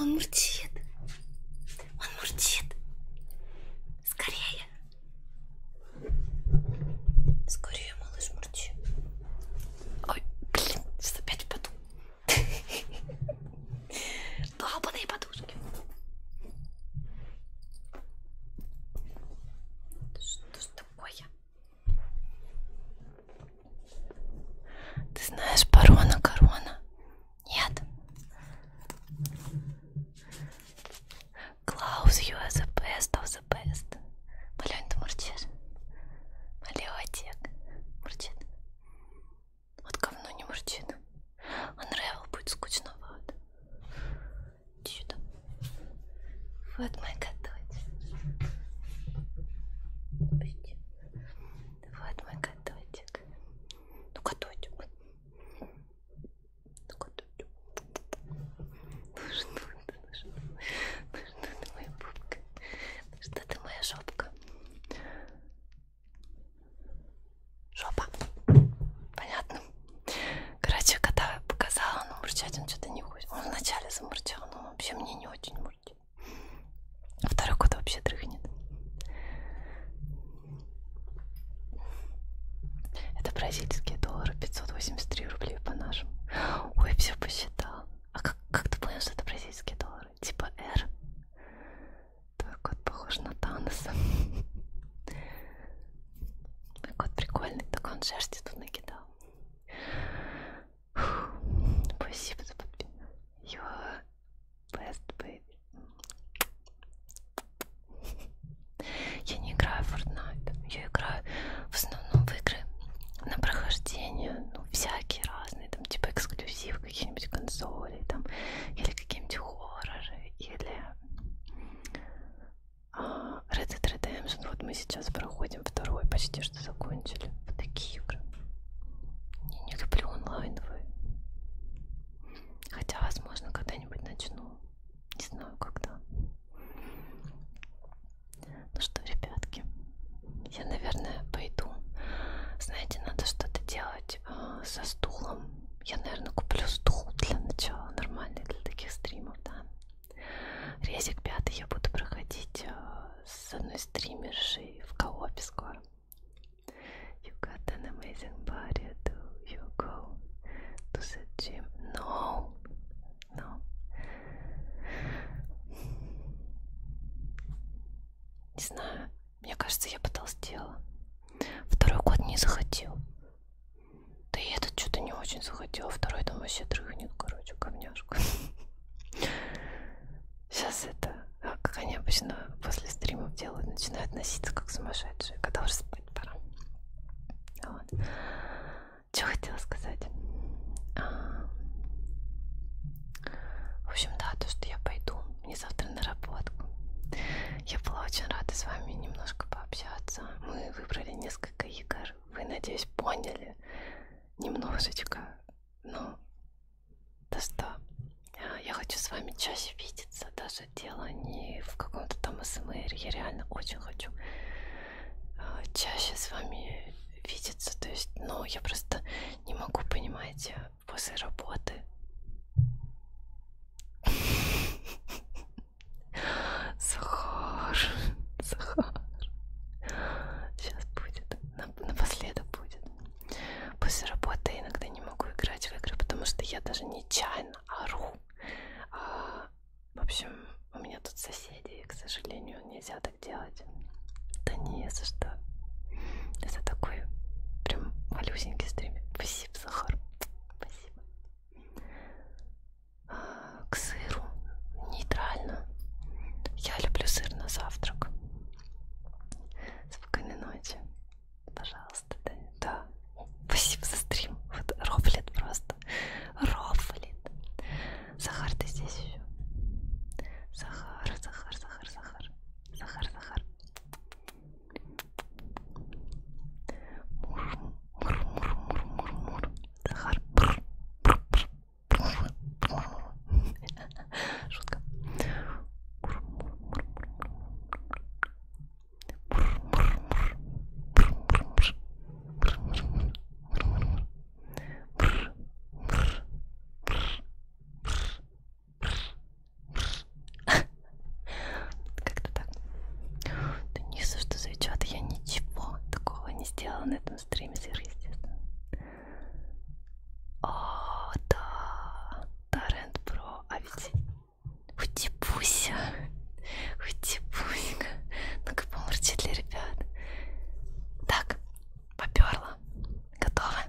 Он мурчит. Он мурчит. Скорее. Скорее, малыш, мурчи. Ой, блин, сейчас опять упаду. Долбаные подушки. Что ж такое? Ты знаешь барона корона? Нет. Клаус, you are the best of the best. Малень, ты мурчишь? Малеотек. Мурчит. Вот говно не мурчит. Unravel будет скучновато. Иди сюда. Вот мой кототик. Пусти. Вот мой кототик. Ну кототик. Ну кототик. Ну что ты, ну что ты, ну что ты моя пупка? Ну что ты моя жопка? Жопа. Понятно? Короче, когда я показала, он ну, мурчать, он что-то не хочет. Он вначале замурчал, но вообще мне не очень мурчит. А второй кот вообще дрыхнет. Это бразильские доллары 583 рублей по нашим. Ой, все посчитал. А как, как ты понял, что это бразильские доллары? Типа R. Твой кот похож на Таноса. Мой кот прикольный, так он шерсти тут накидал. Спасибо за подписку. Your best baby. Я не играю в Fortnite. Я играю в основном в игры на прохождение, ну, всякие разные, там, типа эксклюзив каких-нибудь консолей, там, или какие-нибудь хорроры, или Red Dead Redemption, вот мы сейчас проходим второй, почти что закончили. Вот такие игры. Я не люблю онлайновые. Хотя, возможно, когда-нибудь начну. Не знаю, когда. Ну что, ребятки, я, наверное, пойду. Знаете, надо что-то делать э, со стулом. Я, наверное, куплю стул для начала, нормальный для таких стримов, да. Резик пятый я буду проходить э, с одной стримершей в коопе скоро. You got an amazing body, do you go to the gym? No, no. Не знаю, мне кажется, я потолстела. Второй год не захотел. Да и этот что-то не очень захотел, второй там вообще дрыхнет, короче, говняшку. Сейчас это, а, как они обычно после стримов делают, начинают носиться как сумасшедшие, когда уже спать пора. Вот. Что хотела сказать? А... В общем, да, то, что я пойду, мне завтра на работку. Я была очень рада с вами немножко пообщаться. Мы выбрали несколько игр, вы, надеюсь, поняли немножечко, но да что, я хочу с вами чаще видеться, даже дело не в каком-то там СМР, я реально очень хочу а, чаще с вами видеться, то есть, ну, я просто не могу, понимаете, после работы Захар, Захар. Сейчас будет. Напоследок будет. После работы я иногда не могу играть в игры, потому что я даже нечаянно ору. А, в общем, у меня тут соседи, и, к сожалению, нельзя так делать. Да не за что. Это такой прям малюсенький стример. Спасибо, Захар. Спасибо к сыру нейтрально. Я люблю сыр на завтрак. Спокойной ночи. Пожалуйста, да. да. Спасибо за стрим. Вот рофлит просто. Рофлит. Захар, ты здесь еще? Захар, Захар, Захар, Захар. Захар, Захар. Мур, мур, мур, мур, мур, мур. Захар. Бр, бр, бр. Шутка. Как-то так. Да не за что, девчата, я ничего такого не сделала на этом на стриме сверхъестественно. О, да, Торрент Про, а ведь Хутипуся, Хутипуська, ну-ка помолчи для ребят. Так, поперла, готово.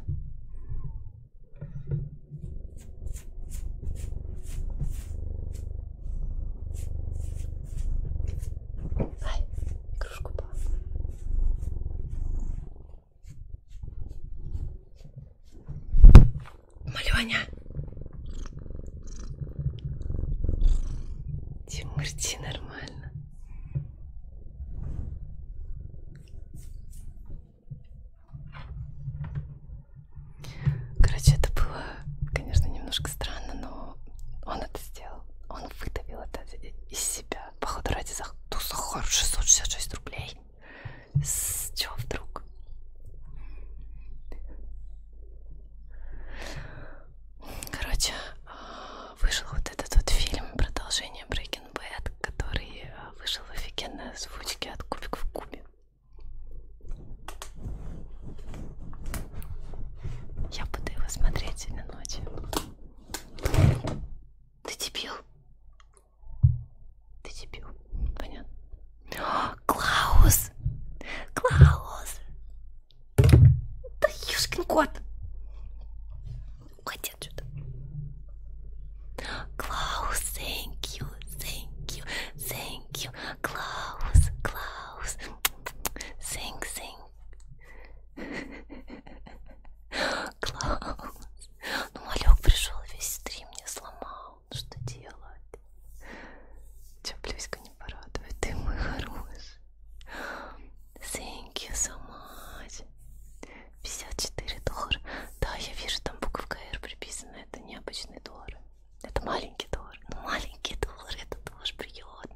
Ай кружку папа. Маленя. Тимур, ти нормально. Короче, это было, конечно, немножко странно, но он это сделал он выдавил это из себя. Походу ради за ту ну, сахар 666 рублей. С чего вдруг? Короче, а, вышел вот этот вот фильм продолжение Breaking Bad, который а, вышел в офигенной озвучке от Кубик в Кубе. Я буду его смотреть сегодня ночью. Ты дебил? Ты дебил. Понятно. О, а, Клаус! Клаус! Да юшкин кот! Хотел что-то. Клаус, thank you, thank you, thank you. Клаус, Клаус. Thank, thank Класс. Ну, Малек пришел, весь стрим не сломал. Ну, что делать? Че, плюська не порадует? Ты мой хороший. Thank you so much. 54 доллара. Да, я вижу, там буковка R приписана. Это необычный доллар. Это маленький доллар. Ну, маленький доллар, это тоже приятно.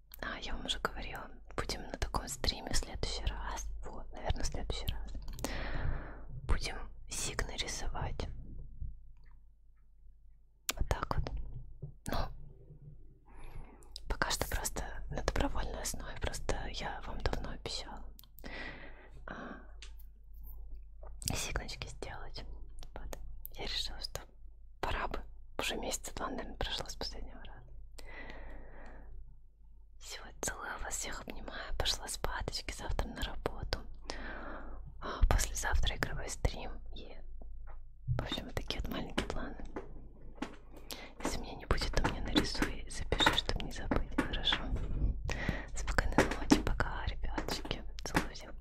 А, я вам уже говорила, будем на таком стриме в следующий раз. Вот, наверное, в следующий раз. Будем сигны рисовать. Вот так вот. Ну, пока что просто на добровольной основе. Просто я вам давно обещала а, сигночки сделать. Вот. Я решила, что просто. Пора бы. Уже месяц два, наверное, прошло с последнего раза. Сегодня целую вас всех обнимаю. Пошла спать, завтра на работу. А послезавтра игровой стрим. И, в общем, вот такие вот маленькие планы. Если меня не будет, то мне нарисуй и запиши, чтобы не забыть. Хорошо? Спокойной ночи. Пока, ребяточки. Целую всех.